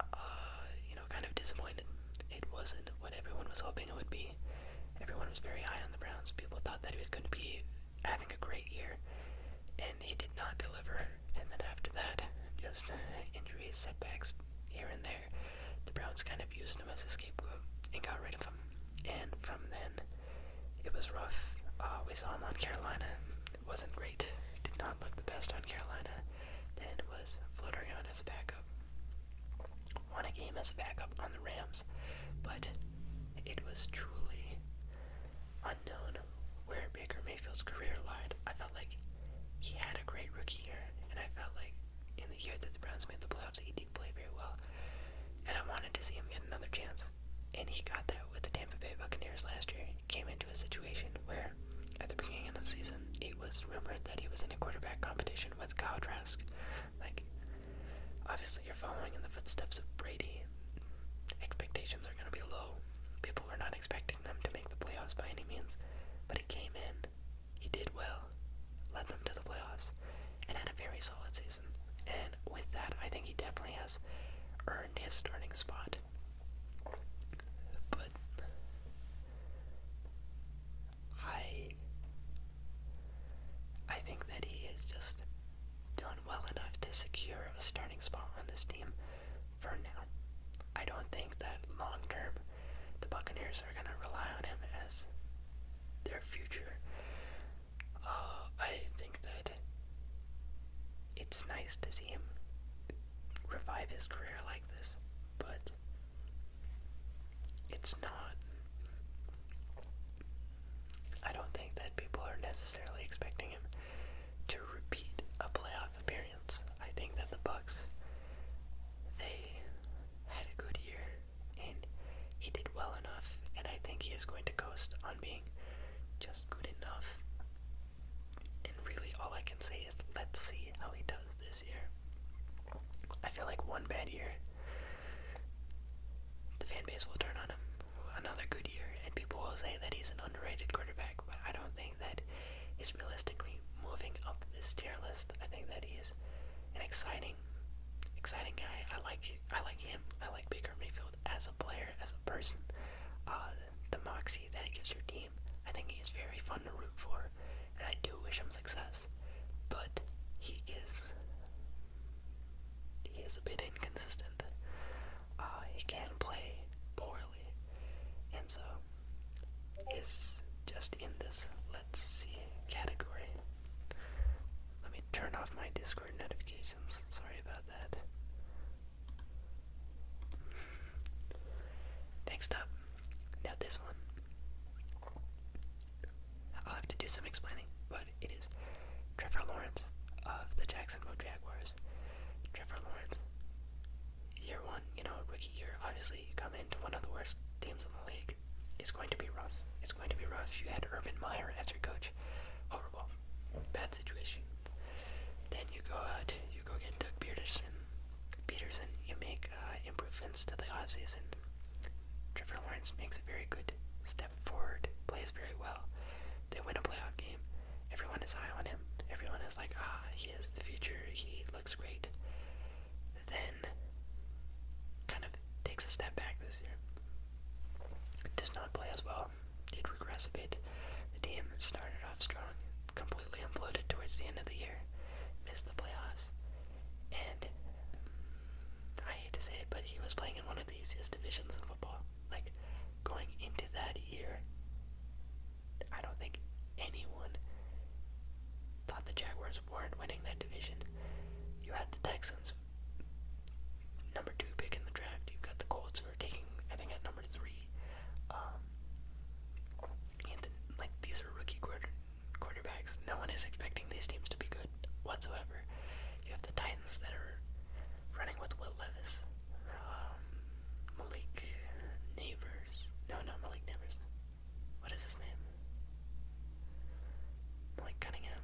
uh, you know, kind of disappointed. It wasn't what everyone was hoping it would be. Everyone was very high on the Browns. People thought that he was going to be having a great year, and he did not deliver. And then after that, just injuries, setbacks here and there, the Browns kind of used him as a scapegoat and got rid of him. And from then, it was rough. Uh, we saw him on Carolina. It wasn't great. Did not look the best on Carolina. Then was floating on as a backup. Won a game as a backup on the Rams. But it was truly unknown where Baker Mayfield's career lied. I felt like he had a great rookie year, and I felt like in the year that the Browns made the playoffs, he did play very well. And I wanted to see him get another chance and he got that with the Tampa Bay Buccaneers last year. He came into a situation where, at the beginning of the season, it was rumored that he was in a quarterback competition with Kyle Trask. Like, obviously, you're following in the footsteps of Brady. Expectations are going to be low. People were not expecting them to make the playoffs by any means, but he came in, he did well, led them to the playoffs, and had a very solid season. And with that, I think he definitely has earned his starting spot. But I I think that he has just done well enough to secure a starting spot on this team for now. I don't think that long term the Buccaneers are gonna rely on him as their future uh, I think that it's nice to see him revive his career like this, but it's not. I don't think that people are necessarily expecting him to repeat a playoff appearance. I think that the Bucks they had a good year and he did well enough and I think he is going to coast on being just good enough. And really, all I can say is let's see how he does this year. I feel like one bad year, the fan base will turn on him. Another good year, and people will say that he's an underrated quarterback, but I don't think that he's realistically moving up this tier list. I think that he is an exciting, exciting guy. I like I like him. I like Baker Mayfield as a player, as a person, uh, the moxie that he gives your team, I think he is very fun to root for, and I do wish him success. But he is he is a bit inconsistent. Uh, he can play poorly, and so is just in this let's see category. Let me turn off my Discord notifications. Sorry about that. Next up, now this one. I'll have to do some explaining, but it is Trevor Lawrence of the Jacksonville Jaguars. Trevor Lawrence, year one, you know, rookie year. Obviously, you come into one of the worst teams in the league. It's going to be rough. It's going to be rough. You had Urban Meyer as your coach. Horrible bad situation. Then you go out, you go get Doug Peterson. Peterson, you make uh, improvements to the off season. Trevor Lawrence makes a very good step forward, plays very well. They win a playoff game. Everyone is high on him. Everyone is like, ah, he is the future. He looks great. Then, kind of takes a step back this year. Does not play as well um, did regress a bit. The team started off strong, completely imploded towards the end of the year, missed the playoffs, and mm, I hate to say it, but he was playing in one of the easiest divisions in football. Like, going into that year, I don't think anyone thought the Jaguars weren't winning that division. You had the Texans, number two pick in the draft. You've got the Colts who are taking, I think, at number three. Um, and like these are rookie quarterbacks. No one is expecting these teams to be good whatsoever. You have the Titans that are running with Will Levis, um, Malik Neighbors. No, no, Malik Neighbors. What is his name? Malik Cunningham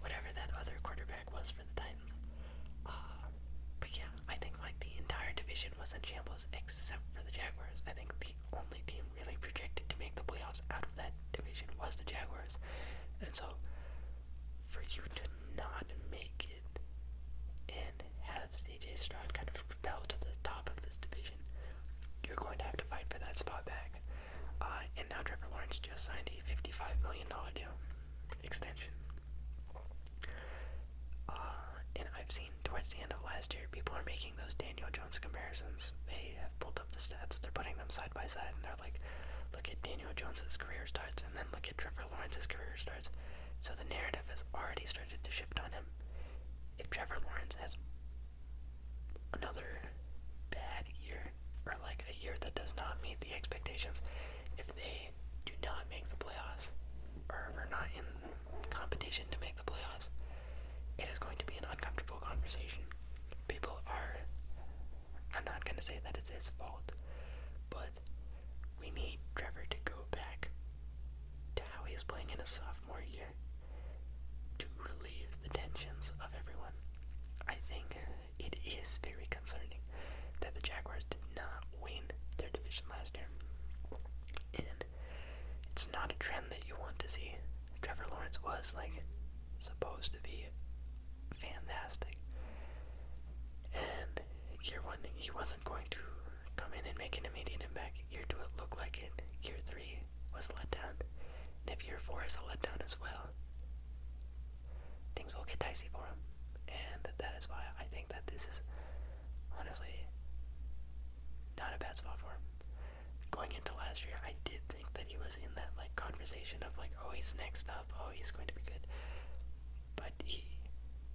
whatever that other quarterback was for the Titans. Uh, but yeah, I think like the entire division was in shambles except for the Jaguars. I think the only team really projected to make the playoffs out of that division was the Jaguars. And so for you to not make it and have CJ Stroud kind of propel to the top of this division, you're going to have to fight for that spot back. Uh, and now Trevor Lawrence just signed a $55 million deal extension. Uh, and I've seen towards the end of last year, people are making those Daniel Jones comparisons. They have pulled up the stats, they're putting them side by side, and they're like, look at Daniel Jones's career starts, and then look at Trevor Lawrence's career starts. So the narrative has already started to shift on him. If Trevor Lawrence has another bad year, or like a year that does not meet the expectations, if they do not make the playoffs or are not in competition to make the playoffs, it is going to be an uncomfortable conversation. People are, i not going to say that it's his fault, but we need Trevor to go back to how he was playing in his sophomore year to relieve the tensions of everyone. I think it is very concerning that the Jaguars did not win their division last year. And it's not a trend that you want to see. Trevor Lawrence was like supposed to be fantastic. And year one, he wasn't going to come in and make an immediate impact. Year two, it looked like it. Year three was let down. And if year four is a letdown as well, things will get dicey for him. And that is why I think that this is honestly not a bad spot for him. Going into last year, I did think that he was in that like conversation of like, oh, he's next up, oh, he's going to be good. But he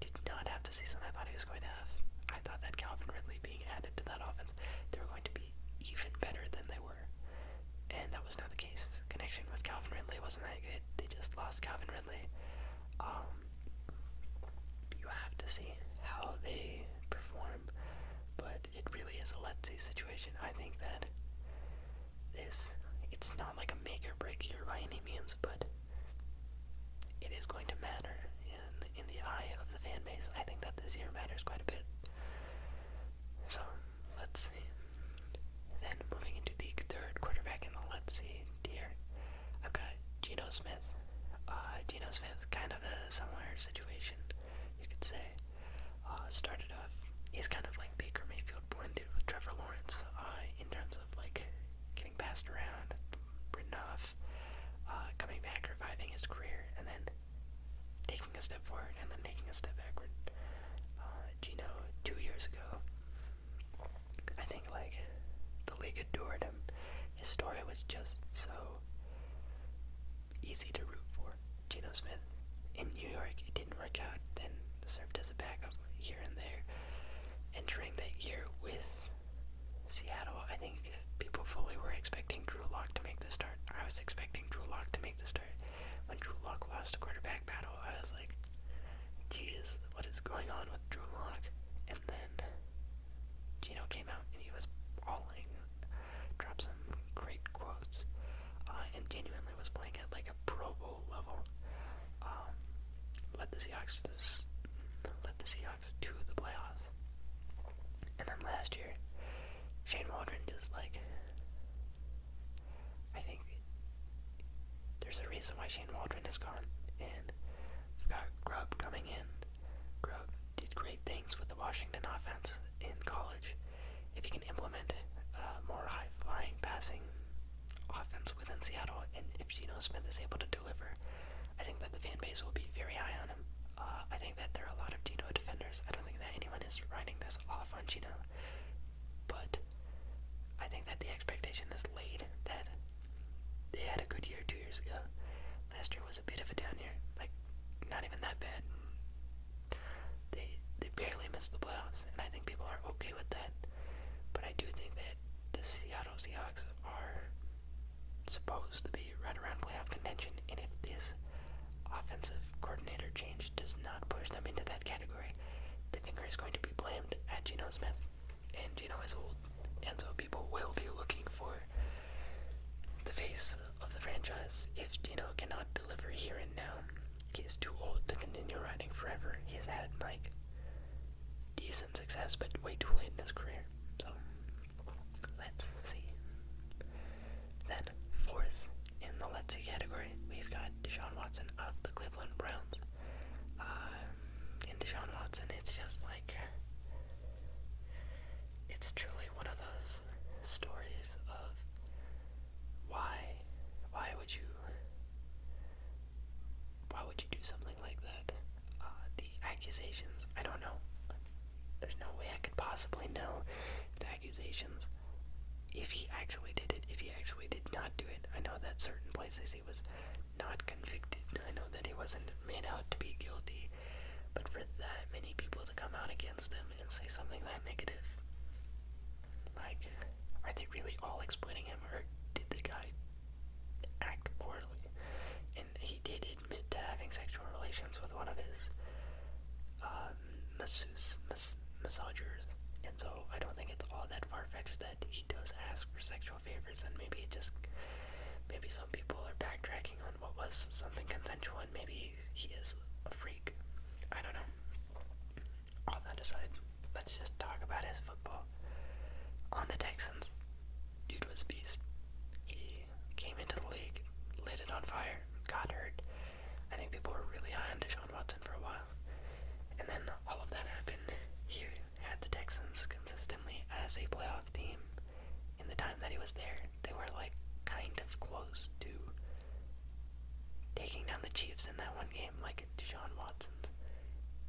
did not have the season I thought he was going to have. I thought that Calvin Ridley being added to that offense, they were going to be even better than they were. And that was not the case. connection with Calvin Ridley wasn't that good. They just lost Calvin Ridley. Um, you have to see how they perform, but it really is a let's see situation. I think that this, it's not like a make or break year by any means, but it is going to matter in the eye of the fan base. I think that this year matters quite a bit. So let's see. Then moving into the third quarterback in the let's see tier, I've got Geno Smith. Uh, Geno Smith, kind of a similar situation, you could say. Uh, started off, he's kind of like Baker Mayfield blended with Trevor Lawrence uh, in terms of like getting passed around, written uh, coming back, reviving his career, and then taking a step forward and then taking a step backward. Uh, Gino, two years ago, I think like the league adored him. His story was just so easy to root for. Gino Smith in New York, it didn't work out. Then served as a backup here and there. Entering that year with Seattle, I think people fully were expecting Drew Lock to make the start. I was expecting Drew Lock to make the start when Drew Lock lost a quarterback battle, I was like, "Jeez, what is going on with Drew Lock?" And then Gino came out and he was bawling, dropped some great quotes, uh, and genuinely was playing at like a Pro Bowl level. Um, let the Seahawks this, let the Seahawks to the playoffs. And then last year, Shane Waldron just like I think there's a reason why Shane Waldron is gone, and we've coming in. Grub did great things with the Washington offense in college. If you can implement uh, more high-flying passing offense within Seattle, and if Geno Smith is able to deliver, I think that the fan base will be very high on him. Uh, I think that there are a lot of Geno defenders. I don't think that anyone is writing this off on Geno. But I think that the expectation is laid that they had a good year two years ago. Last year was a bit of a down year, like not even that bad. They they barely missed the playoffs, and I think people are okay with that. But I do think that the Seattle Seahawks are supposed to be right around playoff contention, and if this offensive coordinator change does not push them into that category, the finger is going to be blamed at Geno Smith. And Geno is old, and so people will be looking for the face of the franchise. If Geno cannot deliver here and now, he is too old to continue riding forever. He has had, like, decent success, but way too late in his career. So, let's see. Then, fourth in the let's see category, we've got Deshaun Watson of the Cleveland Browns. Um, in Deshaun Watson, it's just like it's truly one of those stories of why, why would you, why would you do something like that? Uh, the accusations, I don't know. There's no way I could possibly know accusations if he actually did it, if he actually did not do it. I know that certain places he was not convicted. I know that he wasn't made out to be guilty. But for that many people to come out against him and say something that negative, like, are they really all exploiting him or did the guy act poorly? And he did admit to having sexual relations with one of his. Um, masseuse, mas massagers, and so I don't think it's all that far fetched that he does ask for sexual favors, and maybe it just maybe some people are backtracking on what was something consensual, and maybe he is a freak. I don't know. All that aside, let's just talk about his football. On the Texans, dude was a beast. He came into the league, lit it on fire, got hurt, I think people were really high on Deshaun Watson for a while. And then all of that happened. He had the Texans consistently as a playoff team. In the time that he was there, they were like kind of close to taking down the Chiefs in that one game, like Deshaun Watson's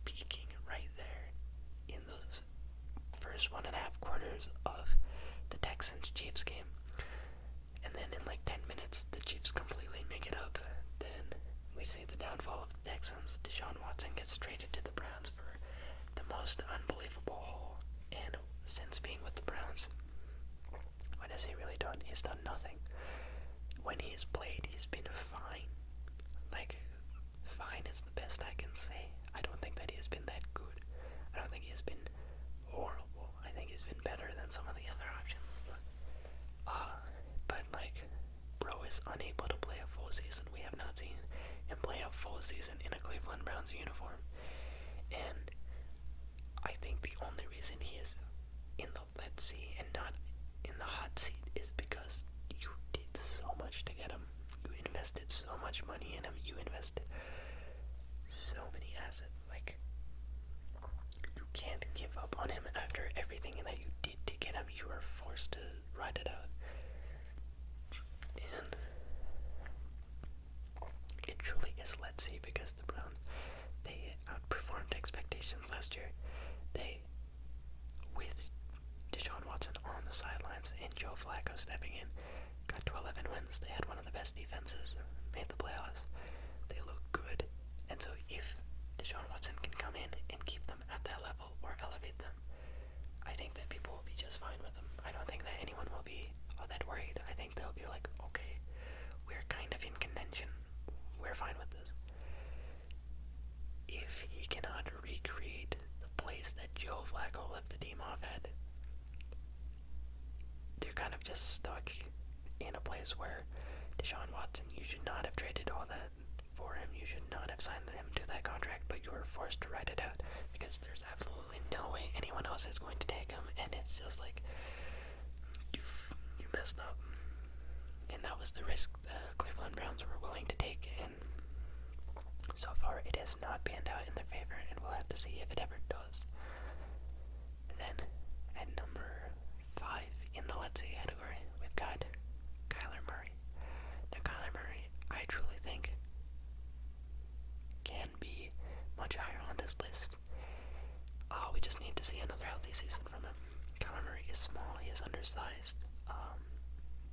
peaking right there in those first one and a half quarters of the Texans Chiefs game and then in like 10 minutes, the Chiefs completely make it up. Then we see the downfall of the Texans. Deshaun Watson gets traded to the Browns for the most unbelievable haul. And since being with the Browns, what has he really done? He's done nothing. When he has played, he's been fine. Like, fine is the best I can say. I don't think that he has been that good. I don't think he has been horrible. I think has been better than some of the other options. Uh, but like, Bro is unable to play a full season. We have not seen him play a full season in a Cleveland Browns uniform. And I think the only reason he is in the let's see and not in the hot seat is because you did so much to get him. You invested so much money in him. You invested so many assets. Like, you can't give up on him after everything that you did to get him. You are forced to ride it out. And it truly is let's see because the Browns they outperformed expectations last year. They with Deshaun Watson on the sidelines and Joe Flacco stepping in, got to 11 wins. They had one the best defenses made the playoffs. They look good, and so if Deshaun Watson can come in and keep them at that level or elevate them, I think that people will be just fine with them. I don't think that anyone will be all that worried. I think they'll be like, okay, we're kind of in contention. We're fine with this. If he cannot recreate the place that Joe Flacco left the team off at, they're kind of just stuck in a place where Deshaun Watson, you should not have traded all that for him. You should not have signed him to that contract, but you were forced to write it out because there's absolutely no way anyone else is going to take him, and it's just like you you messed up. And that was the risk the Cleveland Browns were willing to take, and so far it has not panned out in their favor, and we'll have to see if it ever does. Then at number five in the let's see category, we've got Kyler Murray. Now Kyler Murray, I truly think can be much higher on this list. Uh, we just need to see another healthy season from him. Kyler Murray is small, he is undersized, um,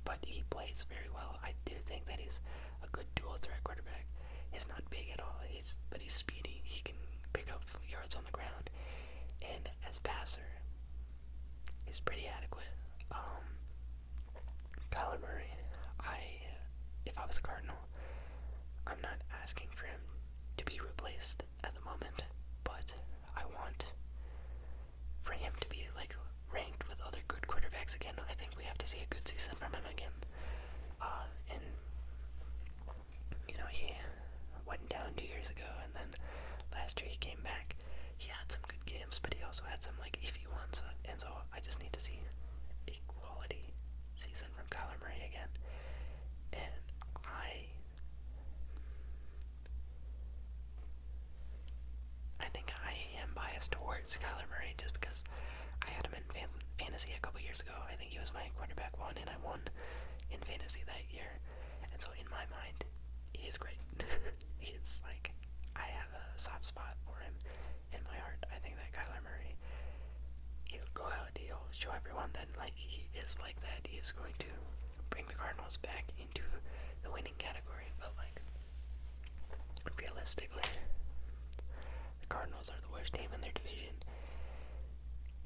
but he plays very well. I do think that he's a good dual threat quarterback. He's not big at all. He's speedy. He can pick up yards on the ground, and as passer, he's pretty adequate. Um, I, if I was a Cardinal, I'm not asking for him to be replaced at the moment, but I want for him to be like ranked with other good quarterbacks again. I think we have to see a good season from him again. Uh, and you know, he went down two years ago, and then last year he came back. He had some good games, but he also had some like iffy ones, uh, and so I just need to see a quality season from Kyler Murray again. And I, I think I am biased towards Kyler Murray just because I had him in fan fantasy a couple years ago, I he was my quarterback one, and I won in fantasy that year. And so in my mind, he's great. [LAUGHS] He's like, I have a soft spot for him in my heart. I think that Kyler Murray, he'll go out, he'll show everyone that like he is like that. He is going to bring the Cardinals back into the winning category, but like realistically, the Cardinals are the worst team in their division.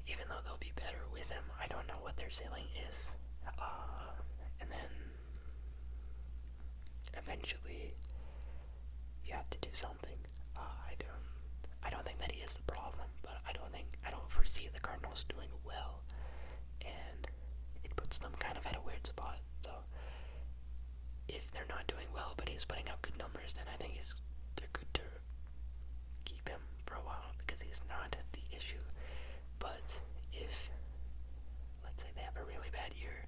Even though they'll be better with him, I don't know what their ceiling is. Uh, and then eventually you have to do something. Uh, I don't. I don't think that he is the problem, but I don't think I don't foresee the Cardinals doing well, and it puts them kind of at a weird spot. So if they're not doing well, but he's putting up good numbers, then I think he's they're good to keep him for a while because he's not the issue. But if, let's say, they have a really bad year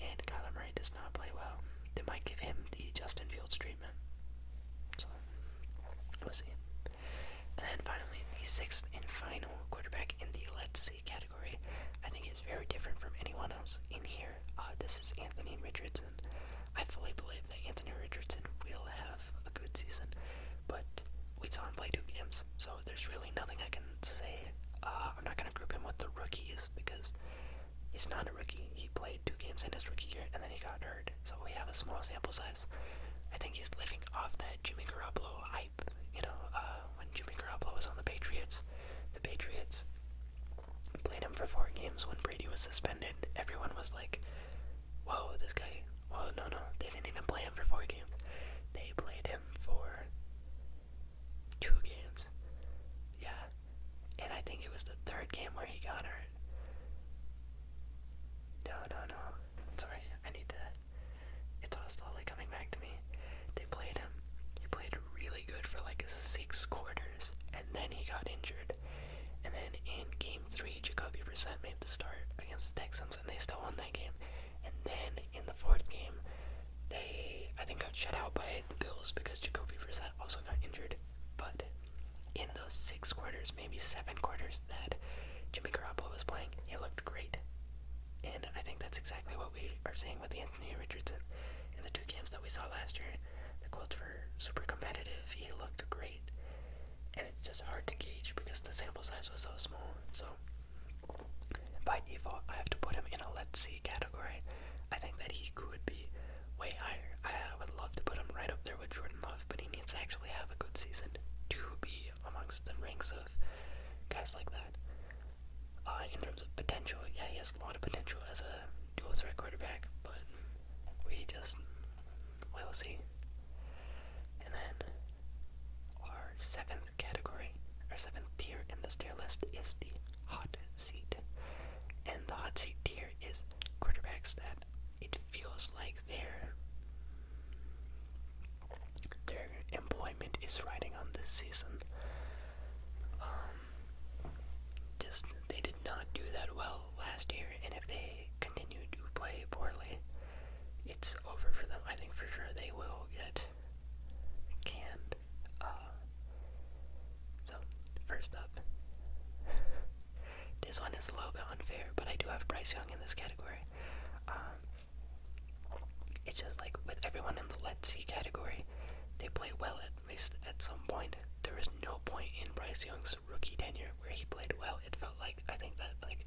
and Kyler Murray does not play well, they might give him the Justin Fields treatment. So, we'll see. And then finally, the sixth and final quarterback in the let's see category, I think is very different from anyone else in here. Uh, this is Anthony Richardson. I fully believe that Anthony Richardson will have a good season, but we saw him play two games, so there's really nothing I can say. Uh, I'm not going to group him with the rookies because he's not a rookie. He played two games in his rookie year and then he got hurt, so we have a small sample size. I think he's living off that Jimmy Garoppolo hype. You know, uh, when Jimmy Garoppolo was on the Patriots, the Patriots Played him for four games when Brady was suspended. Everyone was like, whoa, this guy. Whoa, no, no. They didn't even play him for four games. They played him for two games. Yeah. And I think it was the third game where he got hurt. No, no, no. Sorry, I need to. It's all slowly coming back to me. They played him. He played really good for like six quarters, and then he got injured. And then in game three, Jacoby Brissett made the start against the Texans, and they still won that game. And then in the fourth game, they I think got shut out by the Bills because Jacoby Brissett also got injured. But in those six quarters, maybe seven quarters that Jimmy Garoppolo was playing, he looked great. And I think that's exactly what we are seeing with Anthony Richardson in the two games that we saw last year the quotes were super competitive. He looked great, and it's just hard to gauge because the sample size was so small. So by default, I have to put him in a let's see category. I think that he could be way higher. I would love to put him right up there with Jordan Love, but he needs to actually have a good season to be amongst the ranks of guys like that. Uh, in terms of potential, yeah, he has a lot of potential as a dual threat quarterback, but we just will see. And then our seventh category, our seventh tier in the tier list is the hot seat. And the hot seat tier is quarterbacks that it feels like their their employment is riding on this season. Uh, just they did not do that well last year, and if they continue to play poorly, it's over for them. I think for sure they will get canned. Uh, so, first up, this one is a little bit unfair, but I do have Bryce Young in this category. Um, it's just like with everyone in the let's see category, they play well at at least at some point. There was no point in Bryce Young's rookie tenure where he played well. It felt like I think that like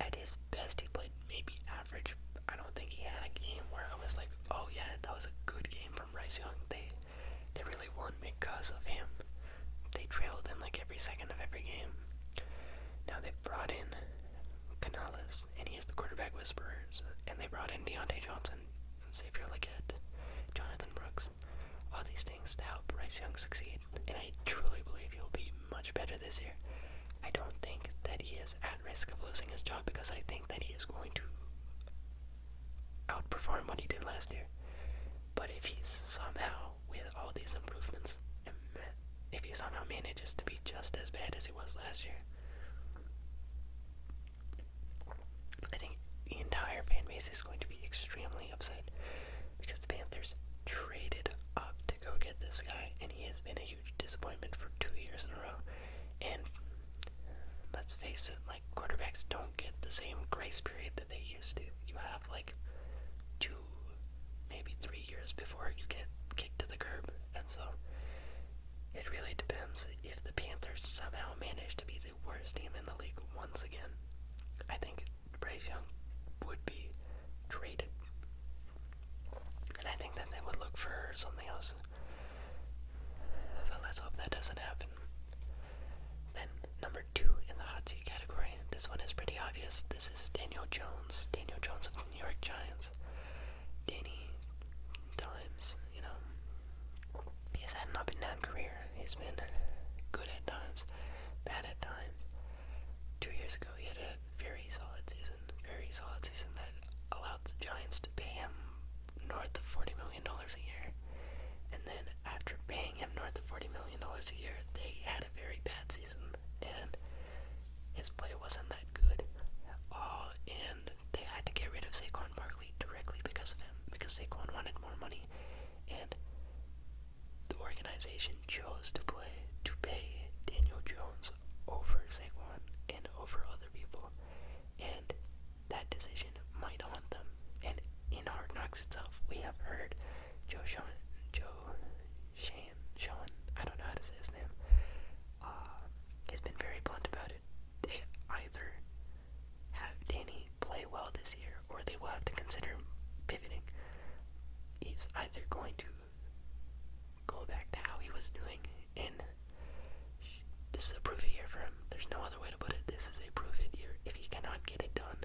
at his best he played maybe average. I don't think he had a game where I was like, oh yeah, that was a good game from Bryce Young. They they really won because of him. They trailed in like every second of every game. Now they've brought in Canales, and he is the quarterback whisperer, and they brought in Deontay Johnson, Xavier Leggett, Jonathan Brooks, all these things to help Bryce Young succeed. And I truly believe he'll be much better this year. I don't think that he is at risk of losing his job because I think that he is going to outperform what he did last year. But if he somehow, with all these improvements, if he somehow manages to be just as bad as he was last year, I think the entire fan base is going to be extremely upset because the Panthers traded up to go get this guy, and he has been a huge disappointment for two years in a row. And let's face it, like quarterbacks don't get the same grace period that they used to. You have like two, maybe three years before you get kicked to the curb, and so it really depends if the Panthers somehow manage to be the worst team in the league once again. I think Bryce Young would be traded. And I think that they would look for something else. But let's hope that doesn't happen. Then, number two in the hot seat category. This one is pretty obvious. This is Daniel Jones. Daniel Jones of the New York Giants. Danny Times, you know, He's had an up and down career. He's been good at times, bad at times. Two years ago, he had a very solid season, very solid season that allowed the Giants to pay him north of $40 million a year. And then after paying him north of $40 million a year, they had a very bad season, and his play wasn't that good. Uh, and they had to get rid of Saquon Barkley directly, directly because of him, because Saquon wanted more money, and the organization chose to play to pay Daniel Jones over Saquon and over other people, and that decision might haunt them. And in Hard Knocks itself, we have heard Joe Sean, Joe Shane, Sean, I don't know how to say his name, uh, has been very blunt about they either have Danny play well this year or they will have to consider pivoting. He's either going to go back to how he was doing, and this is a proof it year for him. There's no other way to put it. This is a proof it year. If he cannot get it done,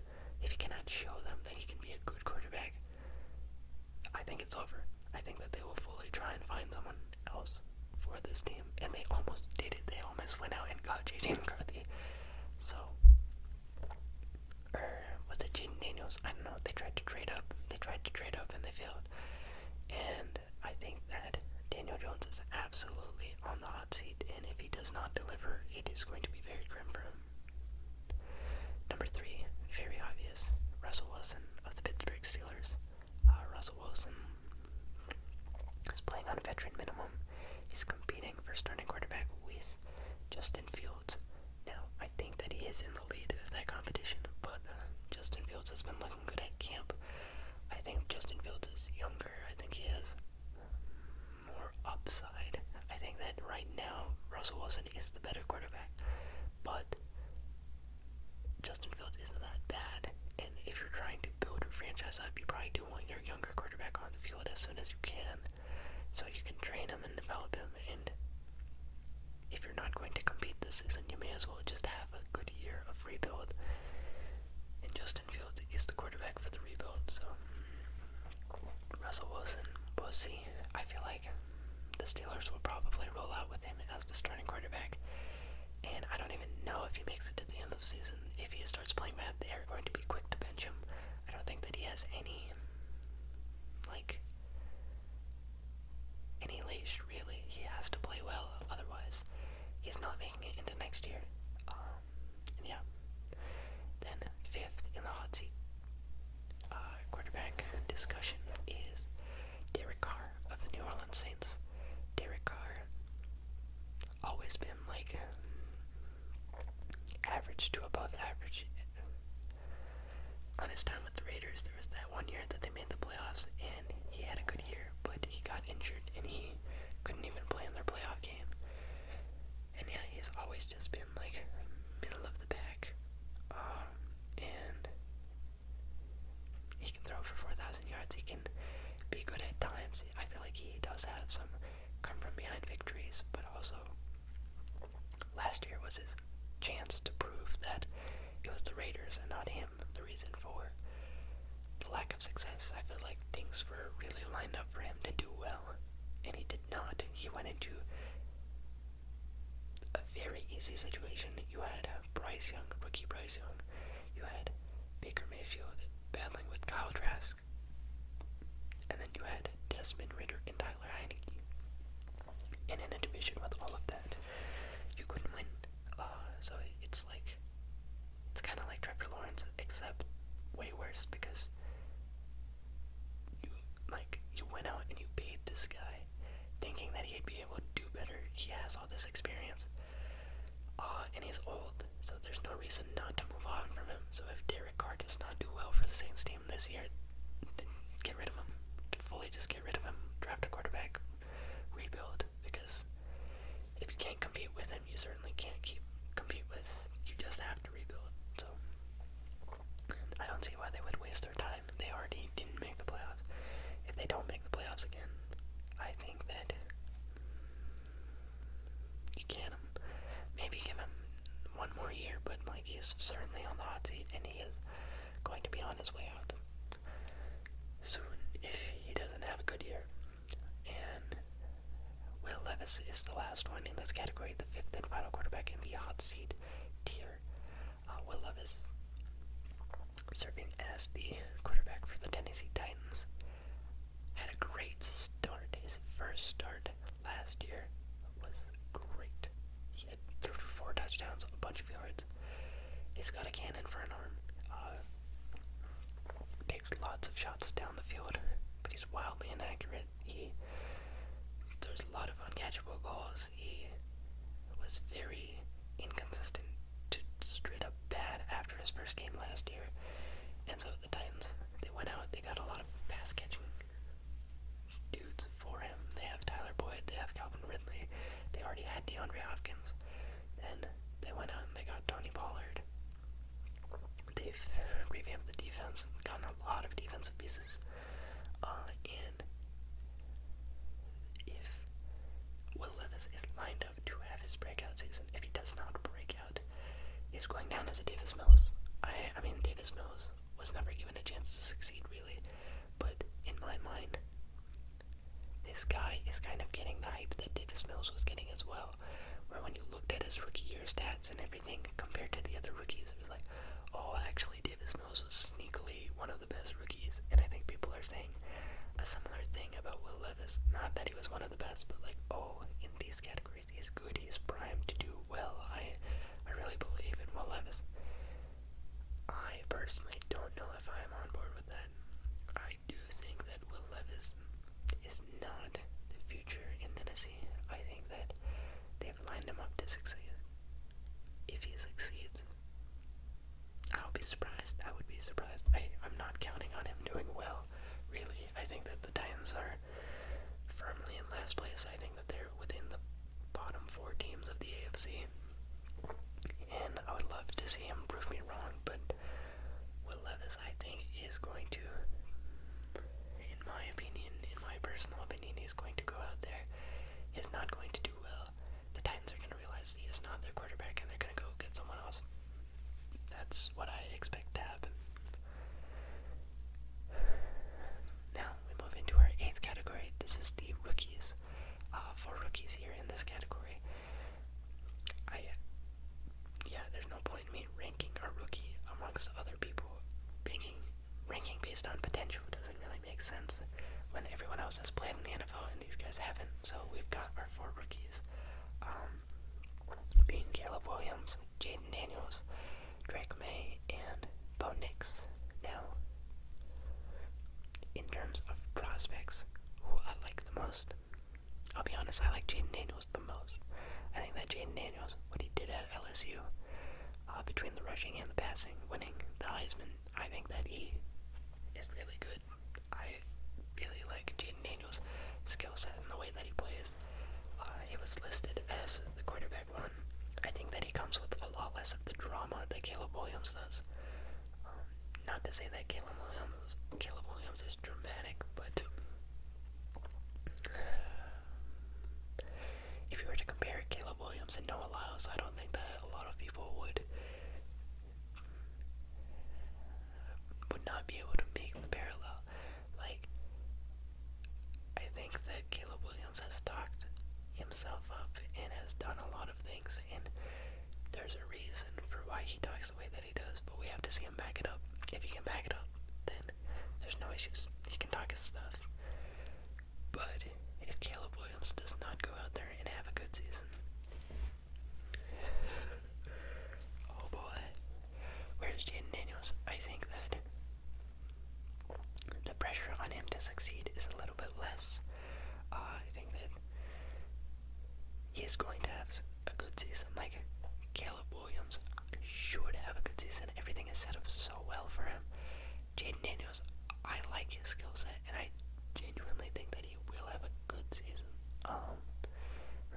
if he cannot show them that he can be a good quarterback, I think it's over. I think that they will fully try and find someone else for this team, and they almost did it. They almost went out and got JJ McCarthy. So, er, was it Jaden Daniels? I don't know. They tried to trade up. They tried to trade up and they failed. And I think that Daniel Jones is absolutely on the hot seat, and if he does not deliver, it is going to be very grim for him. Number three, very obvious, Russell Wilson of the Pittsburgh Steelers. Uh, Russell Wilson He's playing on a veteran minimum. He's competing for starting quarterback with Justin Fields. Now, I think that he is in the lead of that competition, but uh, Justin Fields has been looking good at camp. I think Justin Fields is younger. I think he has more upside. I think that right now Russell Wilson is the better quarterback, but Justin Fields isn't that bad. And if you're trying to build your franchise up, you probably do you want your younger quarterback on the field as soon as you can so you can train him and develop him. And if you're not going to compete this season, you may as well just have a good year of rebuild. And Justin Fields is the quarterback for the rebuild, so mm, Russell Wilson, we'll see. I feel like the Steelers will probably roll out with him as the starting quarterback. And I don't even know if he makes it to the end of the season. If he starts playing bad, they are going to be quick to bench him. I don't think that he has any, like, any leash, really. He has to play well, otherwise, he's not making it into next year. Um, yeah. Then, fifth in the hot seat uh, quarterback discussion is Derek Carr of the New Orleans Saints. Derek Carr always been like average to above average. On his time with the Raiders, there was that one year that they made the playoffs, and he had a good year, but he got injured and he couldn't even play in their playoff game. And yeah, he's always just been like middle of the pack, um, and he can throw for 4,000 yards. He can be good at times. I feel like he does have some come from behind victories, but also last year was his chance to prove that it was the Raiders and not him the reason for the lack of success. I feel like things were really lined up for him to do well, and he did not. He went into a very easy situation. You had Bryce Young, rookie Bryce Young. You had Baker Mayfield battling with Kyle Trask. And then you had Desmond Ritter and Tyler Heineke. in an division with all of that, you couldn't win. Uh, so it's like, it's kind of like Trevor Lawrence, except way worse because you like you went out and you beat this guy, thinking that he'd be able to do better. He has this experience. Uh, and he's old, so there's no reason not to move on from him. So if Derek Carr does not do well for the Saints team this year, get rid of him. Fully just get rid of him. Draft a quarterback. Rebuild. Because if you can't compete with him, you certainly can't keep compete with. You just have to rebuild. So I don't see why they would waste their time. They already didn't make the playoffs. If they don't make the playoffs again, I think that you can him. Um, maybe give him one more year, but like he is certainly on the hot seat, and he is going to be on his way out soon if he doesn't have a good year. And Will Levis is the last one in this category, the fifth and final quarterback in the hot seat tier. Uh, Will Levis serving as the quarterback for the Tennessee Titans had a great start. His first start last year was great. He had four touchdowns, a bunch of yards. He's got a cannon for an arm. Uh, takes lots of shots down the field, but he's wildly inaccurate. He there's a lot of uncatchable balls. He was very inconsistent to straight up bad after his first game last year. And so the Titans, they went out, they got a lot of pass catching dudes for him. They have Tyler Boyd, they have Calvin Ridley, they already had DeAndre Hopkins. and they went out and they got Tony Pollard. They've revamped the defense gotten a lot of defensive pieces. Uh, and if Will Levis is lined to have his breakout season. If he does not break out, he's going down as a Davis Mills. I, I mean, Davis Mills was never given a chance to succeed, really. But in my mind, this guy is kind of getting the hype that Davis Mills was getting as well. Where when you looked at his rookie year stats and everything compared to the other rookies, it was like, oh, actually, Davis Mills was sneakily one of the best rookies. And I think people are saying a similar thing about Will Levis. Not that he was one of the best, but like, oh, in these categories, he's good, he's primed to do well. I, I really believe in Will Levis. I personally don't know if I'm on board with that. I do think that Will Levis is not the future in Tennessee. I think that they've lined him up to succeed. If he succeeds, I'll be surprised. I would be surprised. I'm not counting on him doing well really, I think that the Titans are firmly in last place. I think that they're within the bottom four teams of the AFC. And I would love to see him prove me wrong, but Will Levis, I think, is going to, in my opinion, in my personal opinion, he's going to go out there. He's not going to do well. The Titans are going to realize he is not their quarterback, and they're going to go get someone else. That's what I expect to happen. Now we move into our eighth category. This is the rookies. Uh, for rookies here in this category, I yeah, there's no point in me ranking our rookie amongst other people. Ranking ranking based on potential doesn't really make sense when everyone else has played in the NFL and these guys haven't. So we've got our four rookies. Um, being Caleb Williams, Jaden Daniels, Drake May, and Bo Nix. Now, in terms of prospects, who I like the most, I'll be honest, I like Jaden Daniels the most. I think that Jaden Daniels, what he did at LSU, uh, between the rushing and the passing, winning the Heisman, I think that he is really good good. I really like Jaden Daniels' skill set and the way that he plays. Uh, he was listed as the quarterback one. I think that he comes with a lot less of the drama that Caleb Williams does. Um, not to say that Caleb Williams, Caleb Williams is dramatic, but if you were to compare Caleb Williams and Noah Lyles, I don't think that a lot of people would would not be able to make the parallel. Like, I think that Caleb Williams has talked himself up and has done a lot of things, and there's a reason for why he talks the way that he does, but we have to see him back it up. If he can back it up, then there's no issues. He can talk his stuff. But if Caleb Williams does not go out there and have a good season, Oh boy. Where's Jaden Daniels? I think that the pressure on him to succeed is a little bit less. Uh, I think that he is going to have a good season. Like Caleb Williams should have a good season. Everything is set up so well for him. Jaden Daniels, I like his skill set, and I genuinely think that he will have a good season. Um,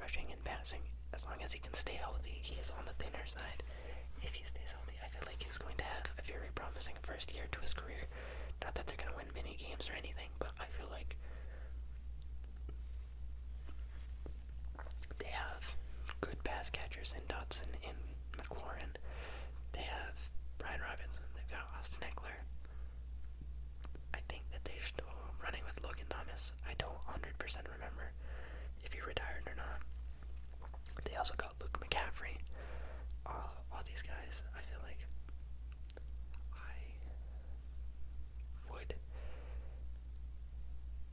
rushing and passing, as long as he can stay healthy, he is on the thinner side. If he stays healthy, I feel like he's going to have a very promising first year to his career. Not that they're going to win many games or anything, but I feel like they have good pass catchers in Dotson and McLaurin. They have Brian Robinson. They've got Austin Eckler. I think that they're still running with Logan Thomas. I don't 100% remember if he retired or not. They also got Luke McCaffrey. Uh, all these guys, I feel like I would.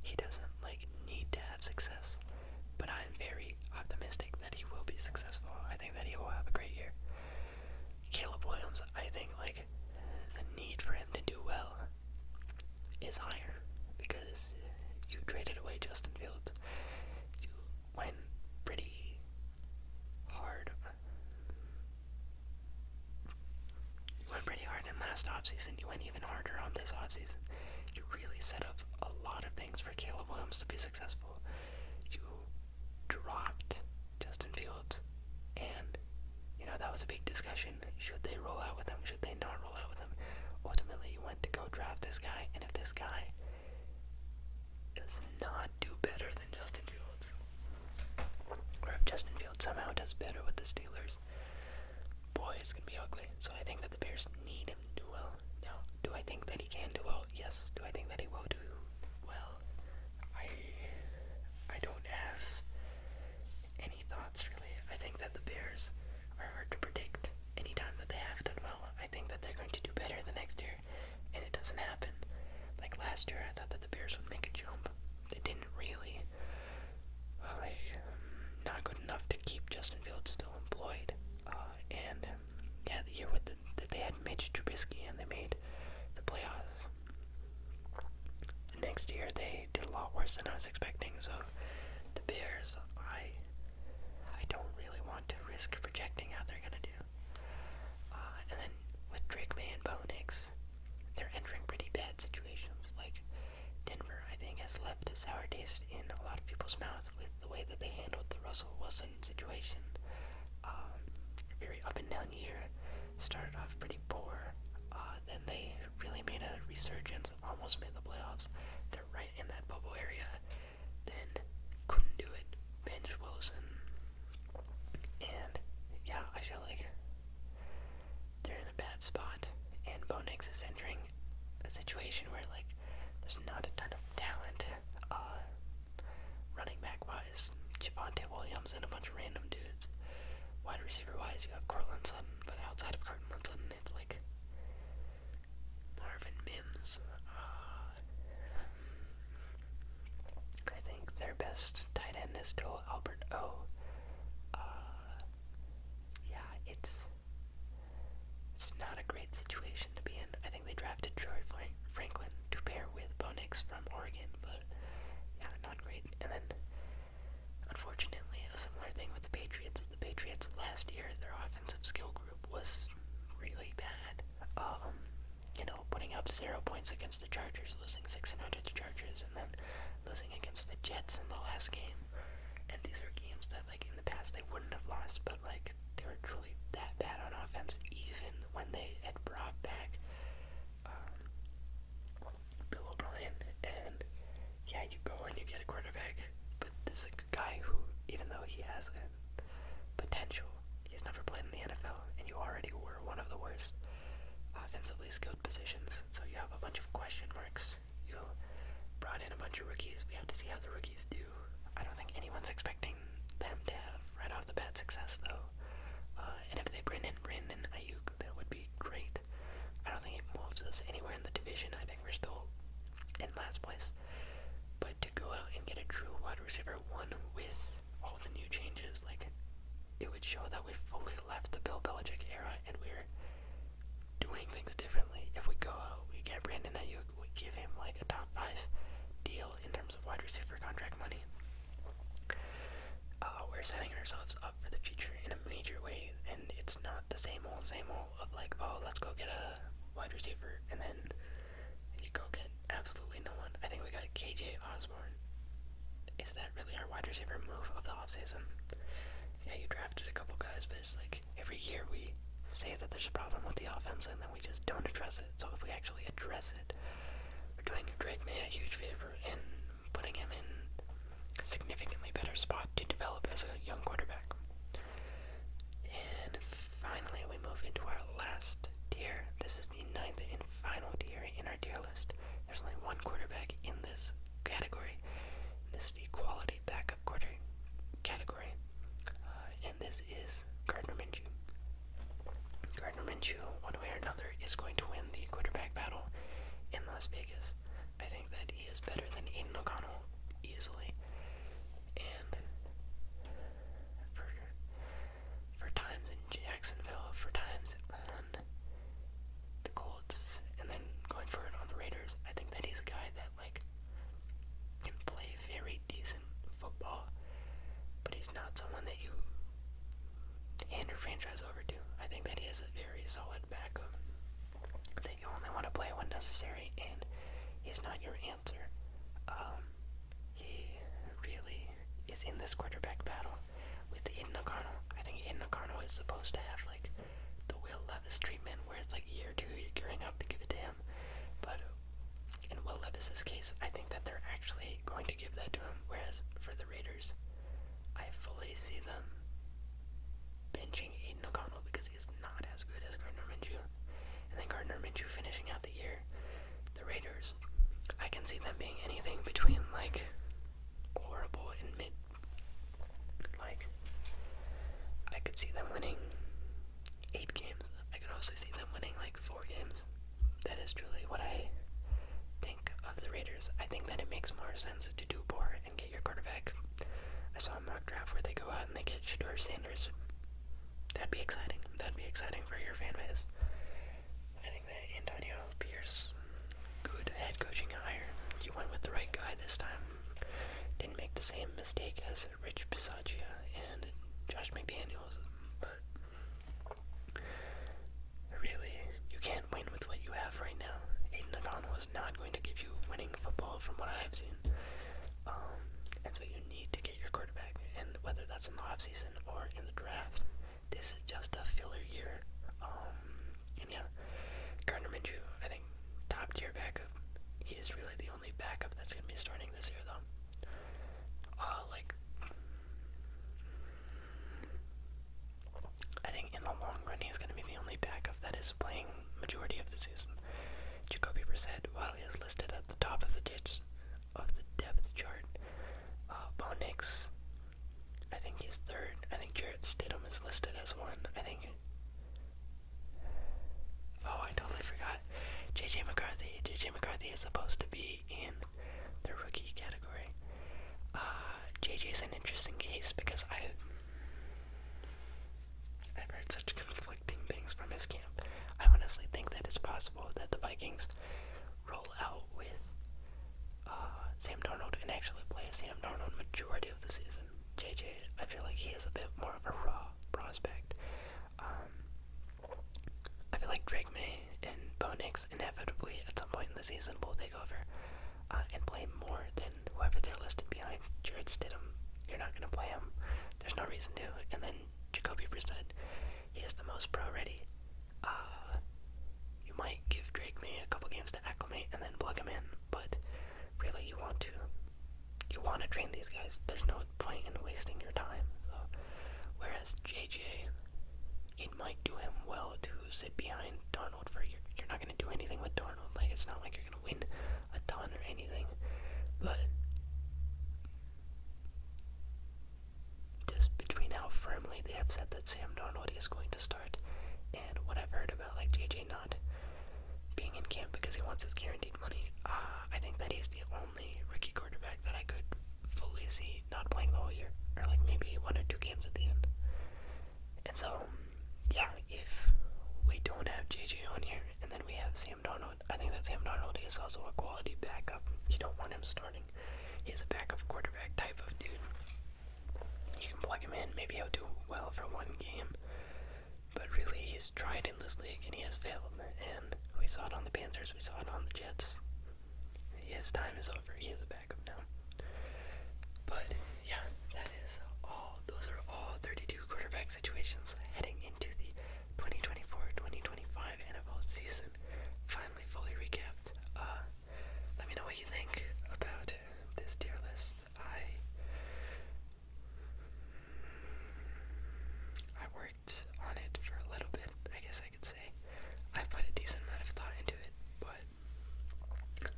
He doesn't like need to have success, but I'm very optimistic that he will be successful. I think that he will have a great year. Caleb Williams, I think like the need for him to do well is higher because you traded away Justin Fields. You went pretty hard. You went pretty hard in last offseason. You went even harder on this offseason. You really set up a lot of things for Caleb Williams to be successful. You dropped Justin Fields, and you know that was a big discussion. Should they roll out with him? Should they not roll out with him? Ultimately, you went to go draft this guy, and if this guy does not do better than Justin Fields, or if Justin Fields somehow does better with the Steelers, boy, it's gonna be ugly. So I think that the Bears need him to do well. Now, do I think that he can do well? Yes. Do I think that he will do well? I I don't have any thoughts really. I think that the Bears are hard to predict. Anytime that they have done well, I think that they're going to do better the next year, and it doesn't happen. Like last year, I thought that the Bears would make a jump. They didn't really. Like, um, not good enough to keep Justin Fields still employed. Uh, and um, yeah, the year with the, that they had Mitch Trubisky and they made the playoffs Next year they did a lot worse than I was expecting, so the Bears, I, I don't really want to risk projecting how they're gonna do. Uh, and then with Drake May and Bo Nix, they're entering pretty bad situations. Like Denver, I think, has left a sour taste in a lot of people's mouth with the way that they handled the Russell Wilson situation. Um, very up and down year, started off pretty poor. Uh, then they really made a resurgence, almost made the playoffs. They're right in that bubble area. Then couldn't do it. Bench Wilson. And yeah, I feel like they're in a bad spot. And Bo Nix is entering a situation where like there's not a ton of talent uh, running back wise, Javante Williams and a bunch of random dudes. Wide receiver wise, you have Cortland Sutton, but outside of Cortland Sutton, it's like Marvin Mims. Uh, I think their best tight end is still Albert O. Uh, yeah, it's it's not a great situation to be in. I think they drafted Troy Franklin to pair with Bonix from Oregon, but yeah, not great. And then, unfortunately, a similar thing with the Patriots. The Patriots last year, their offensive skill group was really bad. Um, you know, putting up zero points against the Chargers, losing six and under the Chargers, and then losing against the Jets in the last game. And these are games that, like in the past, they wouldn't have lost, but like they were truly that bad on offense, even when they had brought back um, Bill O'Brien, and yeah, you go and you get a quarterback, but this is a guy who, even though he has a potential, he's never played in the NFL, and you already were one of the worst offensively skilled positions, so you have a bunch of question marks. You brought in a bunch of rookies. We have to see how the rookies do. I don't think anyone's expecting them to have right off the bat success, though. Uh, and if they bring in Brandon Ayuk, that would be great. I don't think it moves us anywhere in the division. I think we're still in last place. But to go out and get a true wide receiver one with all the new changes, like it would show that we fully left the Bill Belichick era and we're doing things differently. If we go out, we get Brandon Ayuk, we give him like a top five deal in terms of wide receiver contract money. Uh, we're setting ourselves up for the future in a major way, and it's not the same old, same old of like, oh, let's go get a wide receiver, and then you go get absolutely no one. I think we got KJ Osborne. Is that really our wide receiver move of the off season? Yeah, you drafted a couple guys, but it's like every year we say that there's a problem with the offense and then we just don't address it. So if we actually address it that are doing Drake May a huge favor in putting him in significantly better spot to develop as a young quarterback. And finally, we move into our last tier. This is the ninth and final tier in our tier list. There's only one quarterback in this category. This is the quality backup quarter category, uh, and this is Gardner Minshew. Gardner Minshew, one way or another, is going to win the quarterback battle in Las Vegas. I think that he is better than Aiden O'Connell easily. And for for times in Jacksonville, for times on the Colts, and then going for it on the Raiders, I think that he's a guy that like can play very decent football, but he's not someone that you hand your franchise over to. I think that he is a very solid backup that you only want to play when necessary, and he's not your answer. Um, he really is in this quarterback battle with Aiden O'Connell. I think Aiden O'Connell is supposed to have like the Will Levis treatment, where it's like year two you're gearing up to give it to him, but in Will Levis's case, I think that they're actually going to give that to him, whereas for the Raiders. I fully see them benching Aiden O'Connell because he not as good as Gardner Minshew. And then Gardner Minshew finishing out the year. The Raiders, I can see them being anything between like horrible and mid. Like, I could see them winning eight games. I could also see them winning like four games that is truly what I think of the Raiders. I think that it makes more sense to do poor and get your quarterback. I saw a mock draft where they go out and they get Shador Sanders. That'd be exciting. That'd be exciting for your fan base. I think that Antonio Pierce, good head coaching hire. You went with the right guy this time. Didn't make the same mistake as Rich Bisaccia and Josh McDaniels, but Really, you can't win with what you have right now. Aiden O'Connell is not going to give you winning football from what I've seen. Um, and so you need to get your quarterback, and whether that's in the offseason or in the draft, this is just a filler year. Um, and yeah, Gardner Minshew, I think, top tier backup. He is really the only backup that's going to be starting this year, though. Uh, like, I think in the long run, he's going to be the only backup that is playing majority of the season. Jacoby Brissett, while he is listed at the top of the ditch of the depth chart, uh, Bo Nix, I think he's third. I think Jarrett Stidham is listed as one. I think. Oh, I totally forgot. JJ McCarthy. JJ McCarthy is supposed to be in the rookie category. JJ uh, is an interesting case because I I've heard such conflicting things from his camp. I honestly think that it's possible that the Vikings roll out with uh, Sam Darnold and actually play Sam Darnold majority of the season. JJ, I feel like he is a bit more of a raw prospect. Um, I feel like Drake May and Bo Nix inevitably at some point in the season will take over uh, and play more than whoever they're listed behind. Jared Stidham, you're not going to play him. There's no reason to. And then Jacoby Brissett, he is the most pro-ready. Uh, you might give Drake May a couple games to acclimate and then plug him in, but really you want to you want to train these guys. There's no point in wasting your time. whereas JJ, it might do him well to sit behind Darnold for you're, not going to do anything with Darnold. Like, it's not like you're going to win a ton or anything. But just between how firmly they have said that Sam Darnold is going to start and what I've heard about, like, JJ not being in camp because he wants his guaranteed money, uh, I think that he's the only rookie quarterback that I could Felici not playing the whole year, or like maybe one or two games at the end. And so, yeah, if we don't have JJ on here, and then we have Sam Donald, I think that Sam Donald is also a quality backup. You don't want him starting. He's a backup quarterback type of dude. You can plug him in, maybe he'll do well for one game. But really, he's tried in this league and he has failed. And we saw it on the Panthers, we saw it on the Jets, his time is over. He is a backup now. But yeah, that is all. Those are all 32 quarterback situations heading into the 2024-2025 NFL season. Finally, fully recapped. Uh, let me know what you think about this tier list. I I worked on it for a little bit. I guess I could say. I put a decent amount of thought into it, but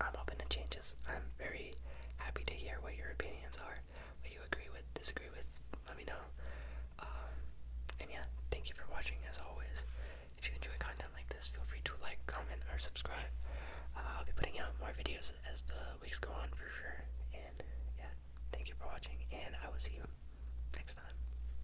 I'm open to changes. I'm very happy to hear what your opinions are, what you agree with, disagree with. Let me know. Um, and yeah, thank you for watching as always. If you enjoy content like this, feel free to like, comment, or subscribe. Uh, I'll be putting out more videos as the weeks go on for sure. And yeah, thank you for watching, and I will see you next time.